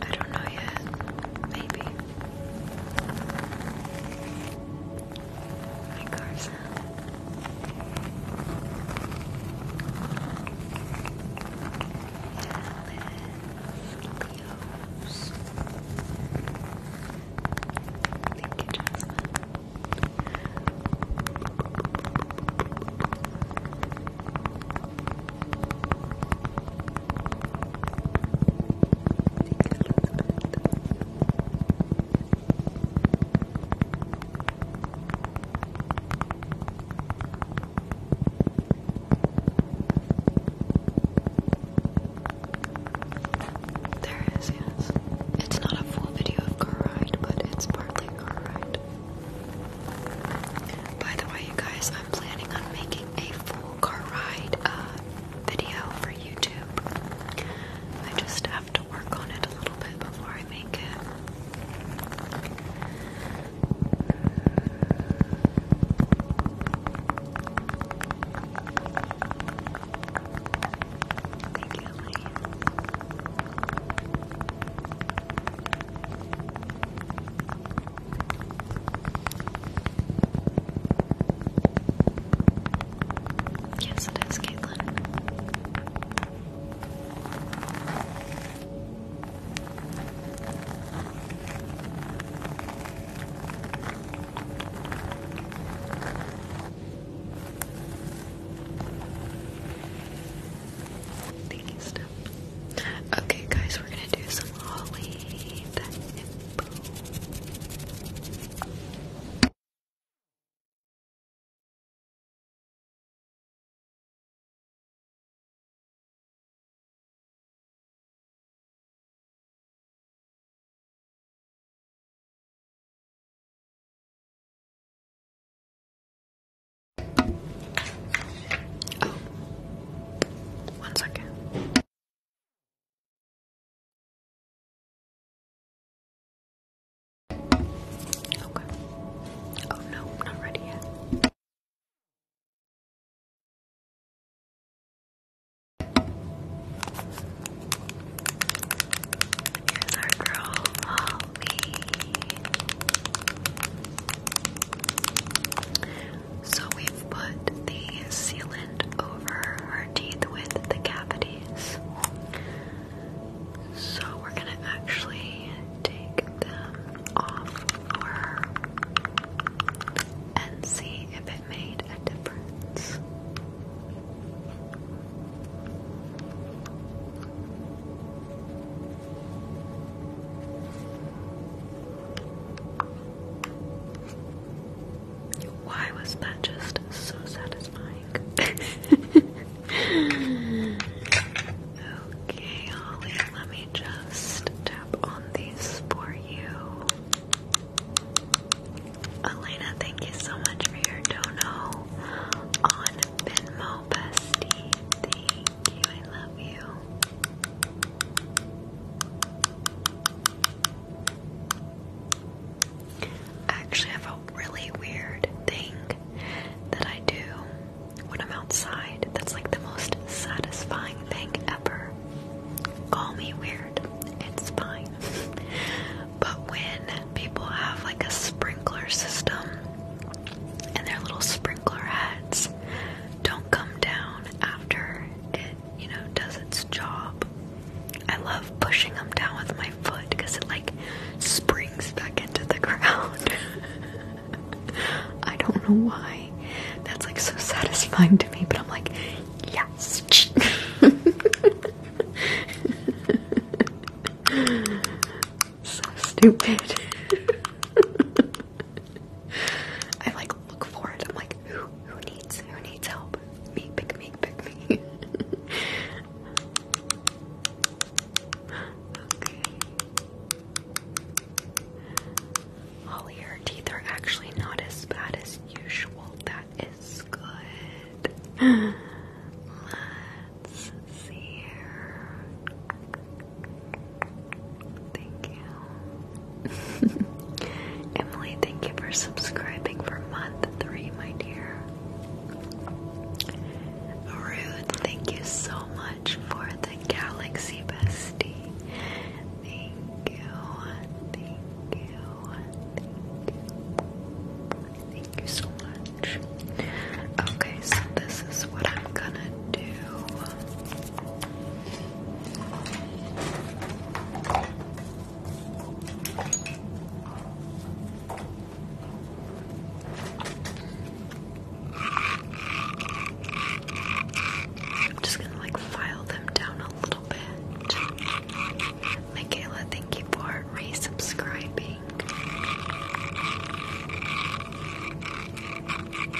I don't know yet. Maybe. My car's out. Alice, Thank you, Jasmine. There is, yes. It's not a full video of car ride, but it's partly car ride. By the way, you guys, I'm planning on making a full car ride uh, video for YouTube. I just have to work on it a little bit before I make it. Thank you, Yes, it is, Caitlin. Thank you, Steph. Okay, guys, we're gonna do some Holly Oh, one second. Okay. Oh no, not ready yet. Here's our girl. Oh, so we've put the sealant over her teeth with the cavities. So we're gonna actually take them off and see if it made a difference. Why was that just so satisfying? okay, Holly, let me just tap on these for you. Elena, thank you so much for your dono on Venmo Bestie. I love you. I have a really weird thing that I do when I'm outside that's like the most satisfying thing ever. Call me weird, it's fine. but when people have like a sprinkler system and their little sprinkler heads, don't come down after it, you know, does its job. I love pushing them down with my foot because it like springs back into the ground. I don't know why. That's like so satisfying to me, but I'm like, yes. So stupid. I like look for it. I'm like, who needs who needs help? Me, pick me, pick me. okay. Holly, her teeth are actually not as bad as usual. That is good. Let's see here. Thank you. Emily, thank you for subscribing for month three, my dear. Rude, thank you so much for the galaxy bestie. Thank you, thank you, thank you. Thank you so much. Okay, so this is what I'm gonna do. I'm just gonna like file them down a little bit. Michaela, thank you for resubscribing.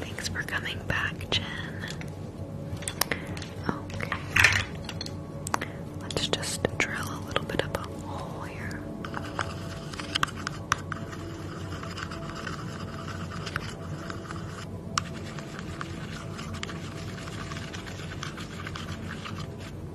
Thanks for coming back, Jen. Okay. Let's just drill a little bit of a hole here.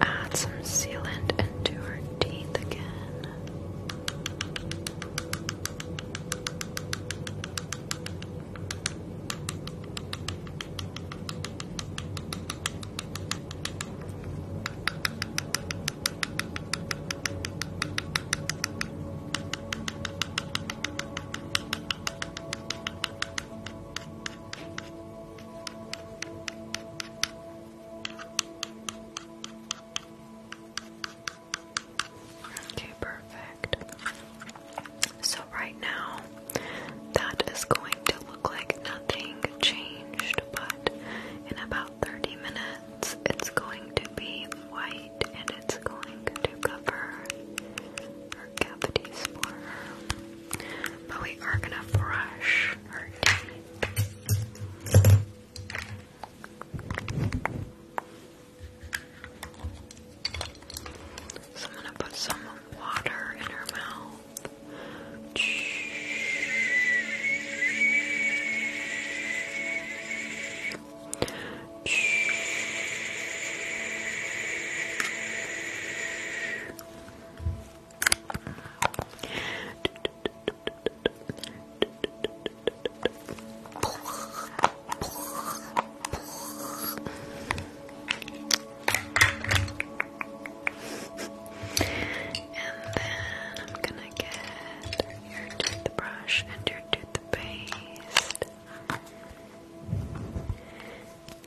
add some sealant into her teeth again. Okay, perfect. So, right now, that is going to look like nothing changed, but in about 30 minutes, it's going to be white and it's going to cover her cavities for her. But we are gonna brush so I'm gonna put some water in her mouth. And then I'm gonna get your toothbrush and your toothpaste. I'm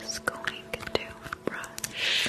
just going to brush.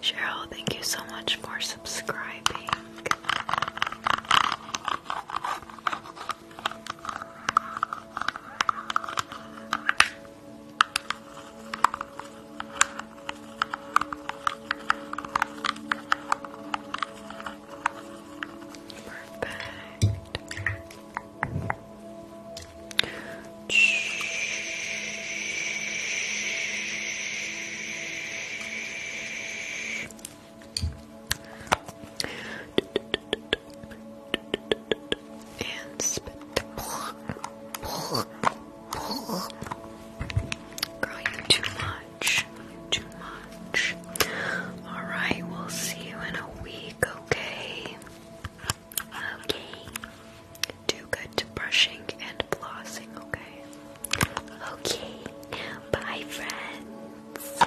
Cheryl, thank you so much for subscribing. Perfect. And spit. Girl, you too much. Too much. Alright, we'll see you in a week, okay? Okay. Do good brushing and flossing, okay? Okay. Bye, friends.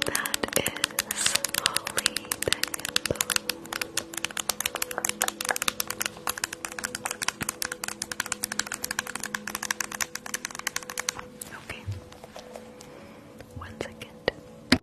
that is Holly Okay. One second.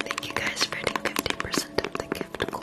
Thank you guys for getting 50% of the gift goal.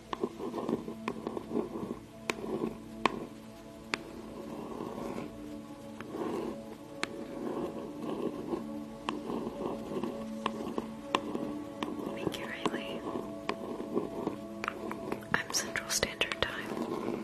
Thank you, Riley. I'm Central Standard Time.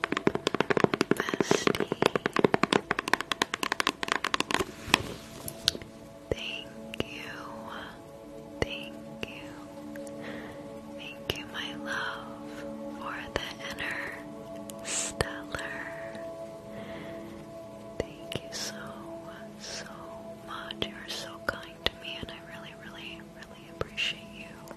bestie. Thank you. Thank you. Thank you, my love, for the inner stellar. Thank you so, so much. You're so kind to me, and I really, really, really appreciate you.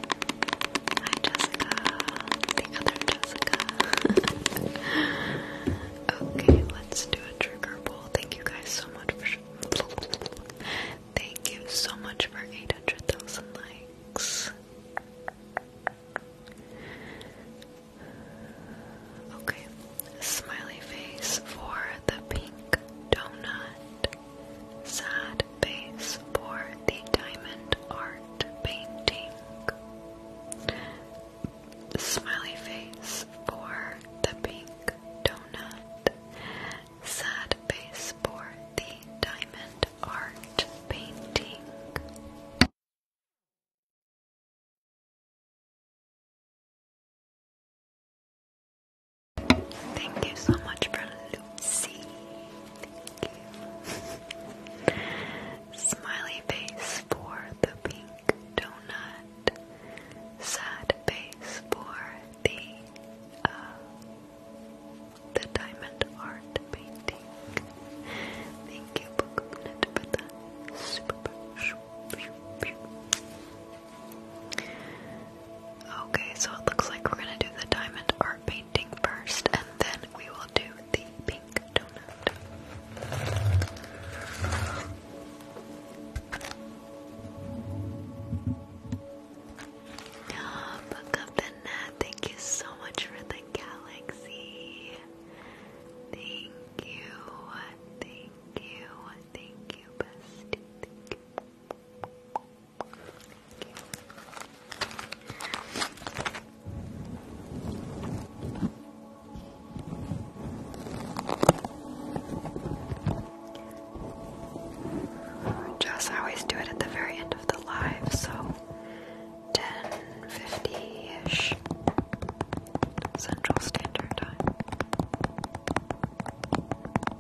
Hi, Jessica. The other Jessica. okay, let's do a trigger pull. Thank you guys so much for. Thank you so much for 800,000 likes. Okay, smiley face for the pink donut. Sad face for the diamond art painting. Smiley face for the pink donut. Sad face for the diamond art painting. Thank you so much for Lucy. Smiley face for the pink donut. Sad face for the uh, the diamond art painting. Thank you, Booknet, for Super. Okay, so it looks like we're gonna do the diamond art painting first, and then we will do the pink donut. Oh, look the net. Thank you so much for the galaxy. Thank you. Thank you. Thank you, bestie. Jess, always do it at the very end of the live, so 10 50 ish Central Standard Time.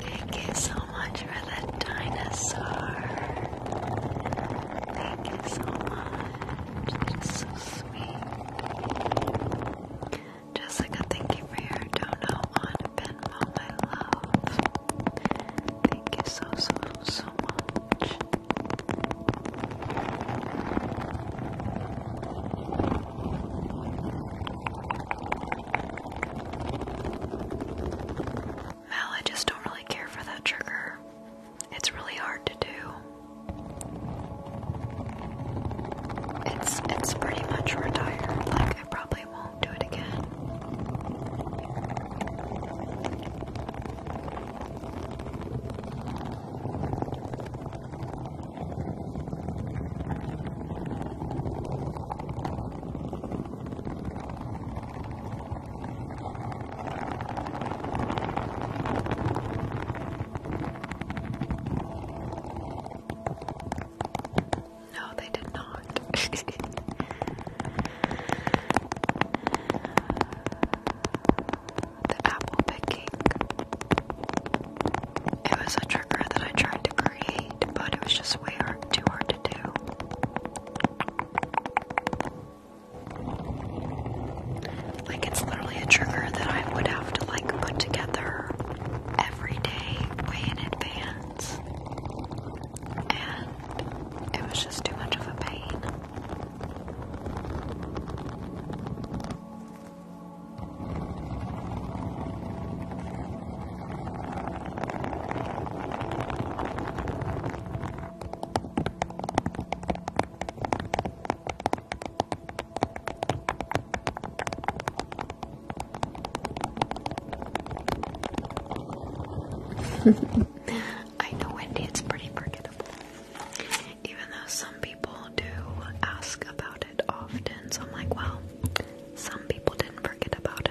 Thank you so much for the dinosaur. Thank you so much. That is so sweet. Jessica, thank you for your dono on Venmo, my love. Thank you so, so, so much. Mal, I just don't really care for that trigger. It's really hard to do. It's it's pretty much retired. Like I probably won't do it again. No, they did not. the apple picking it was a trigger that I tried to create, but it was just way too hard to do. Like it's literally a trigger that I would have to like put together every day, way in advance, and it was just too much of a pain. I know Wendy, it's pretty forgettable. Even though some people do ask about often, so I'm like, well, some people didn't forget about it.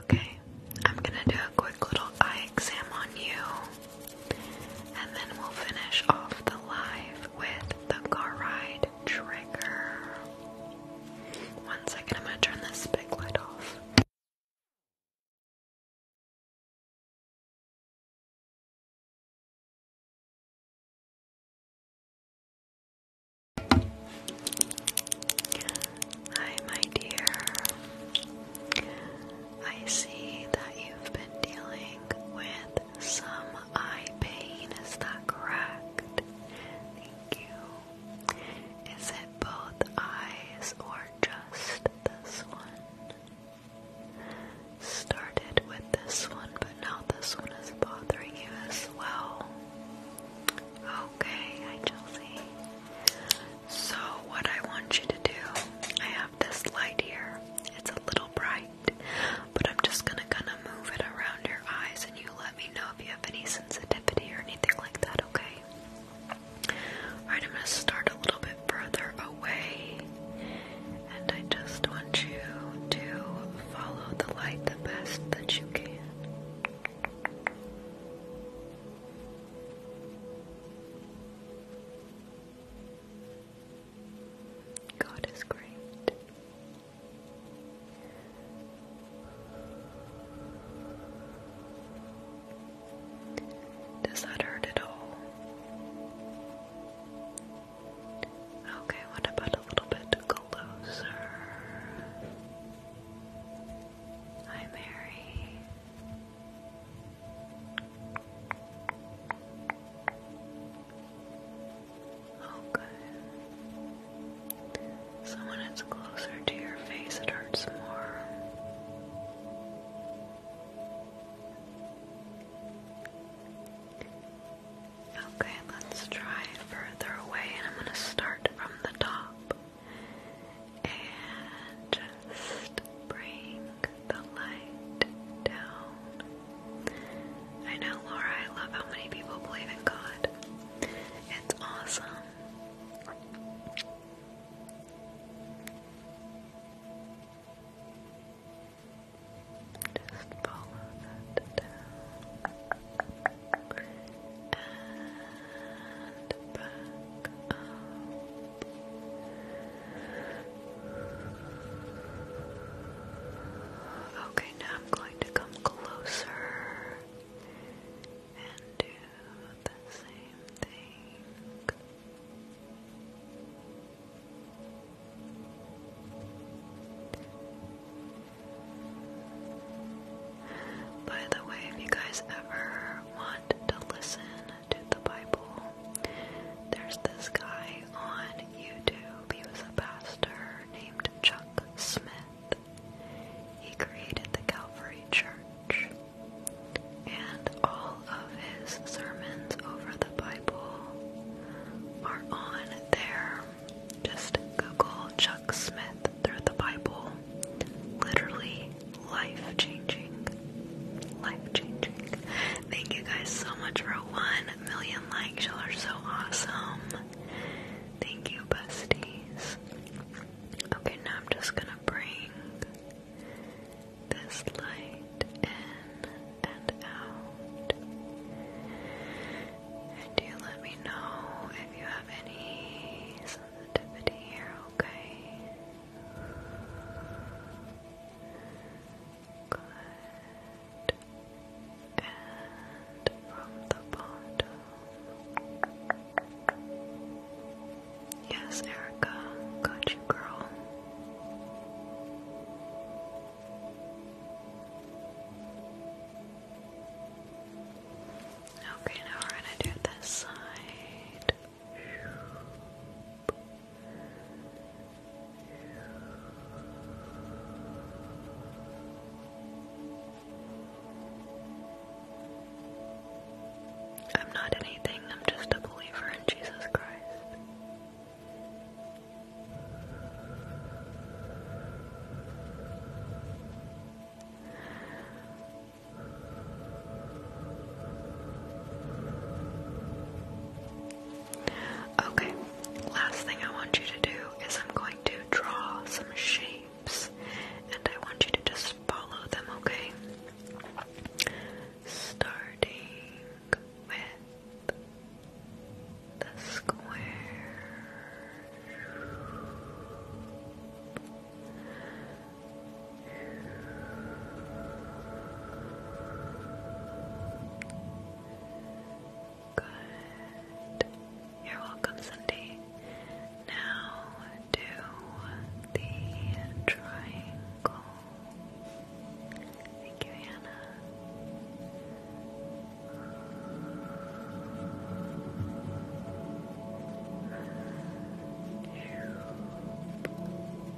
Okay, I'm gonna do a quick little eye exam on you, and then we'll finish off the live with the car ride trigger. One second, I'm gonna turn this big light off. Hi, my dear. I see that you've been dealing with some eye pain, is that correct? Thank you. Is it both eyes or just this one? Started with this one, but now this one is bothering you as well. Okay, hi Chelsea. So, what I want you to do, I have this light here. It's a little bright, but I'm just gonna kind of move it around your eyes and you let me know if you have any sensitivity or anything like that, okay? Alright, I'm gonna start a little bit further away, and I just want you to follow the light the best that you can. God is great. Does that hurt at all? Okay, what about a little bit closer? Hi, Mary. Oh, good. So closer to your face, it hurts more. Okay, let's try further away, and I'm going to start from the top and just bring the light down. I know, Laura, I love how many people believe in God. It's awesome. Just follow that down and back Okay, now I'm going to come closer and do the same thing. By the way, if you guys ever want to listen to the Bible, there's this guy on YouTube. He was a pastor named Chuck Smith. He created the Calvary Church. And all of his sermons over the Bible are on there. Just Google Chuck Smith through the Bible. Literally life changing. Life changing. Thank you guys so much for 1 million likes. you are so awesome. Thank you, besties. Okay, now I'm just gonna bring this light in and out. And you let me know if you have have any sensitivity here, okay? Good. And from the bottom. Yes, Erica, got you, girl. Okay, now we're gonna do this side. I'm not anything, I'm just a believer in Jesus Christ. Okay, last thing I want you to do is I'm going to draw some shapes and I want you to just follow them, okay? Starting with the square Good. You're welcome, Cindy. Now do the triangle. Thank you, Anna.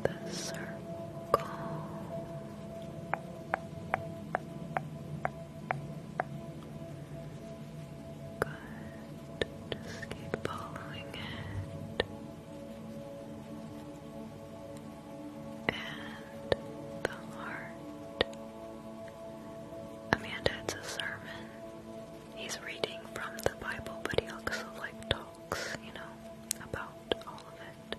The circle. Good. Just keep following it. And the heart. Amanda, it's a sermon he's reading from the Bible, but he also like talks, you know, about all of it.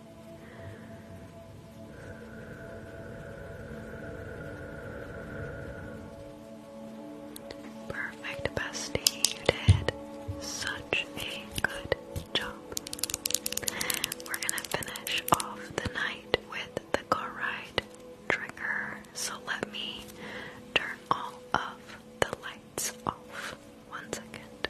Perfect, bestie. You did such a good job. We're gonna finish off the night with the car ride trigger, so let me turn all of the lights off. One second.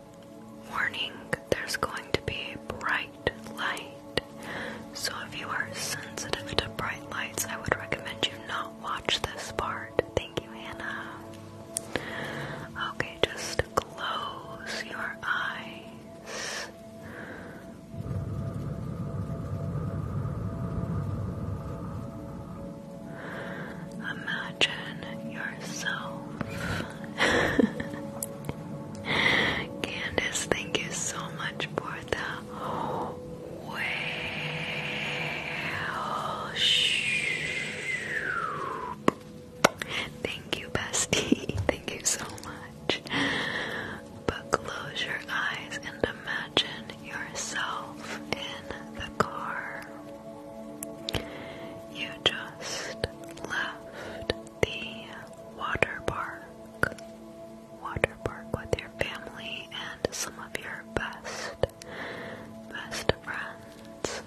Warning, there's going to be bright light. So if you are sensitive to bright lights, I would recommend you not watch this part. Thank you, Hannah. Okay, just close your eyes. Imagine yourself Candace, thank you so much for the Thank you, bestie. Thank you so much. But close your eyes and imagine yourself in the car. You just left the water park. Water park with your family and some of your best, best friends.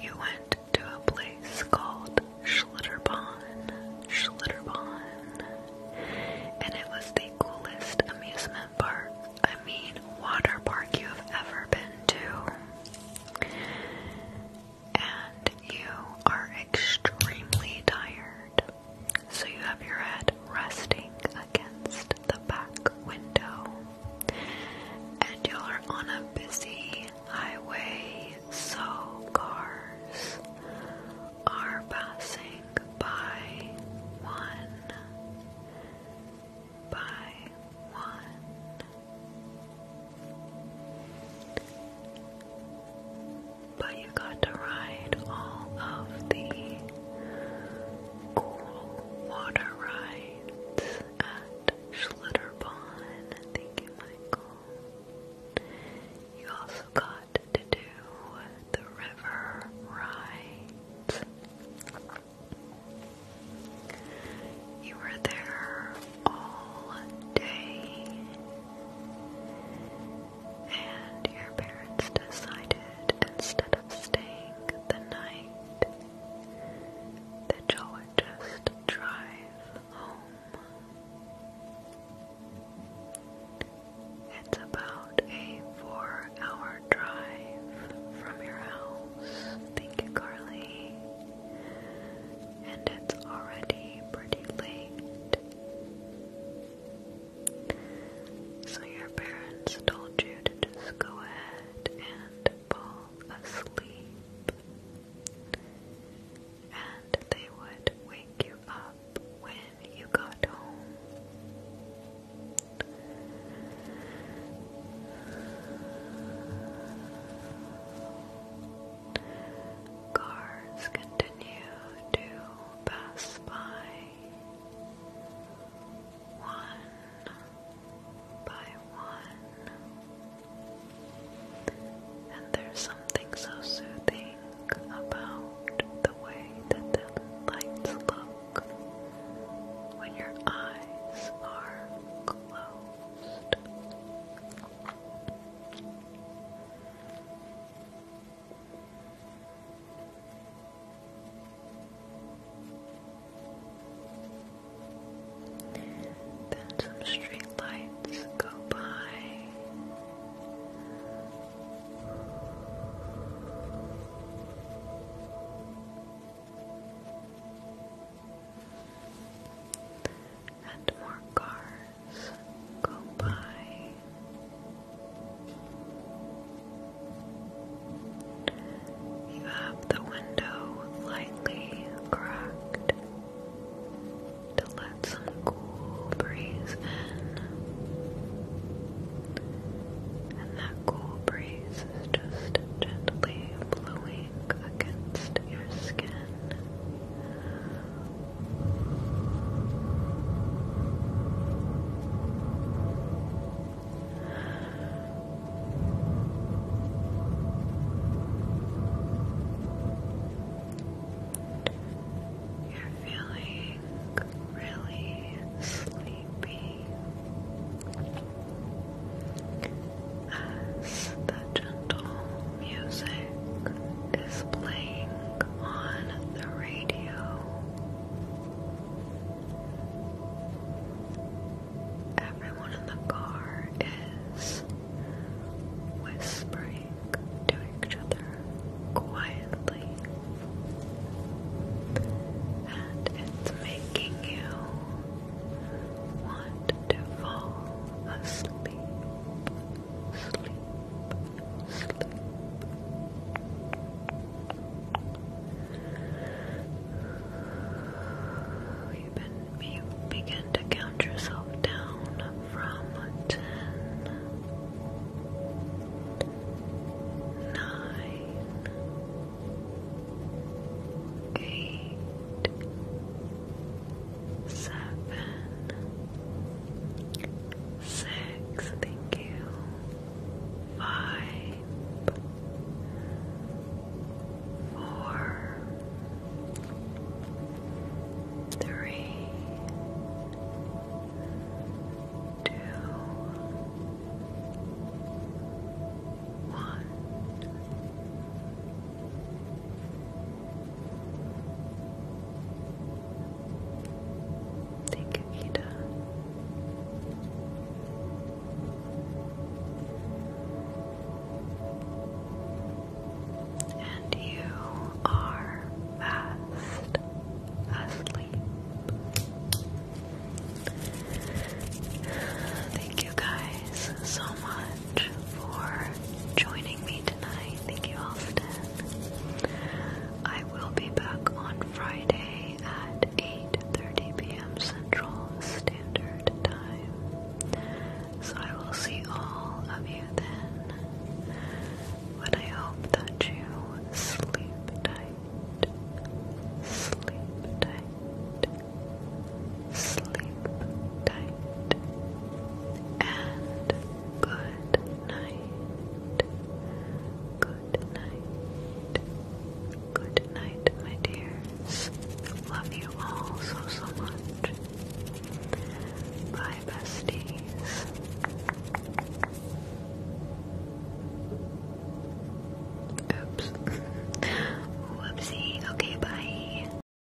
You went to a place called Schlitterbahn, Schlitterbahn, and it was the coolest amusement park, I mean, water park you have ever been to and you are extremely tired, so you have your head resting against the back window, and you are on a busy highway, so cars are passing by one by one but you got to ride all of the cool water rides at Schlitterbahn. Thank you, Michael. You also got to do the river rides. You were there all day, and your parents decided instead of staying the night that you would just drive home. It's about a four hour drive from your house. Thank you, Carly and it's already pretty late. So, your parents told you to just go ahead and fall asleep, and they would wake you up when you got home. Cars continue to pass by one by one. And there's something so soothing about the way that the lights look when your eyes are closed. Then some street lights go by and more cars go by. You have the window lightly cracked to let some cool breeze in, and that cool breeze is just gently blowing against your skin. You're feeling really sleepy as the gentle music is playing on the radio. Everyone in the car is whispering to each other quietly, and it's making you want to fall asleep sleep, sleep. You you begin to count yourself down from ten, nine, eight seven, six, thank you, five, four, three, two, one. Thank you, And you are fast asleep. Thank you guys so much much for joining me tonight. Thank you, Austin. I will be back on Friday at 8.30 p.m. Central Standard Time. So I will see all of you then. But I hope that you sleep tight. Sleep tight sleep tight, and good night. Good night. Good night, my dears. Love you all so, so much. Bye, besties. Oops. Whoopsie. Okay, bye.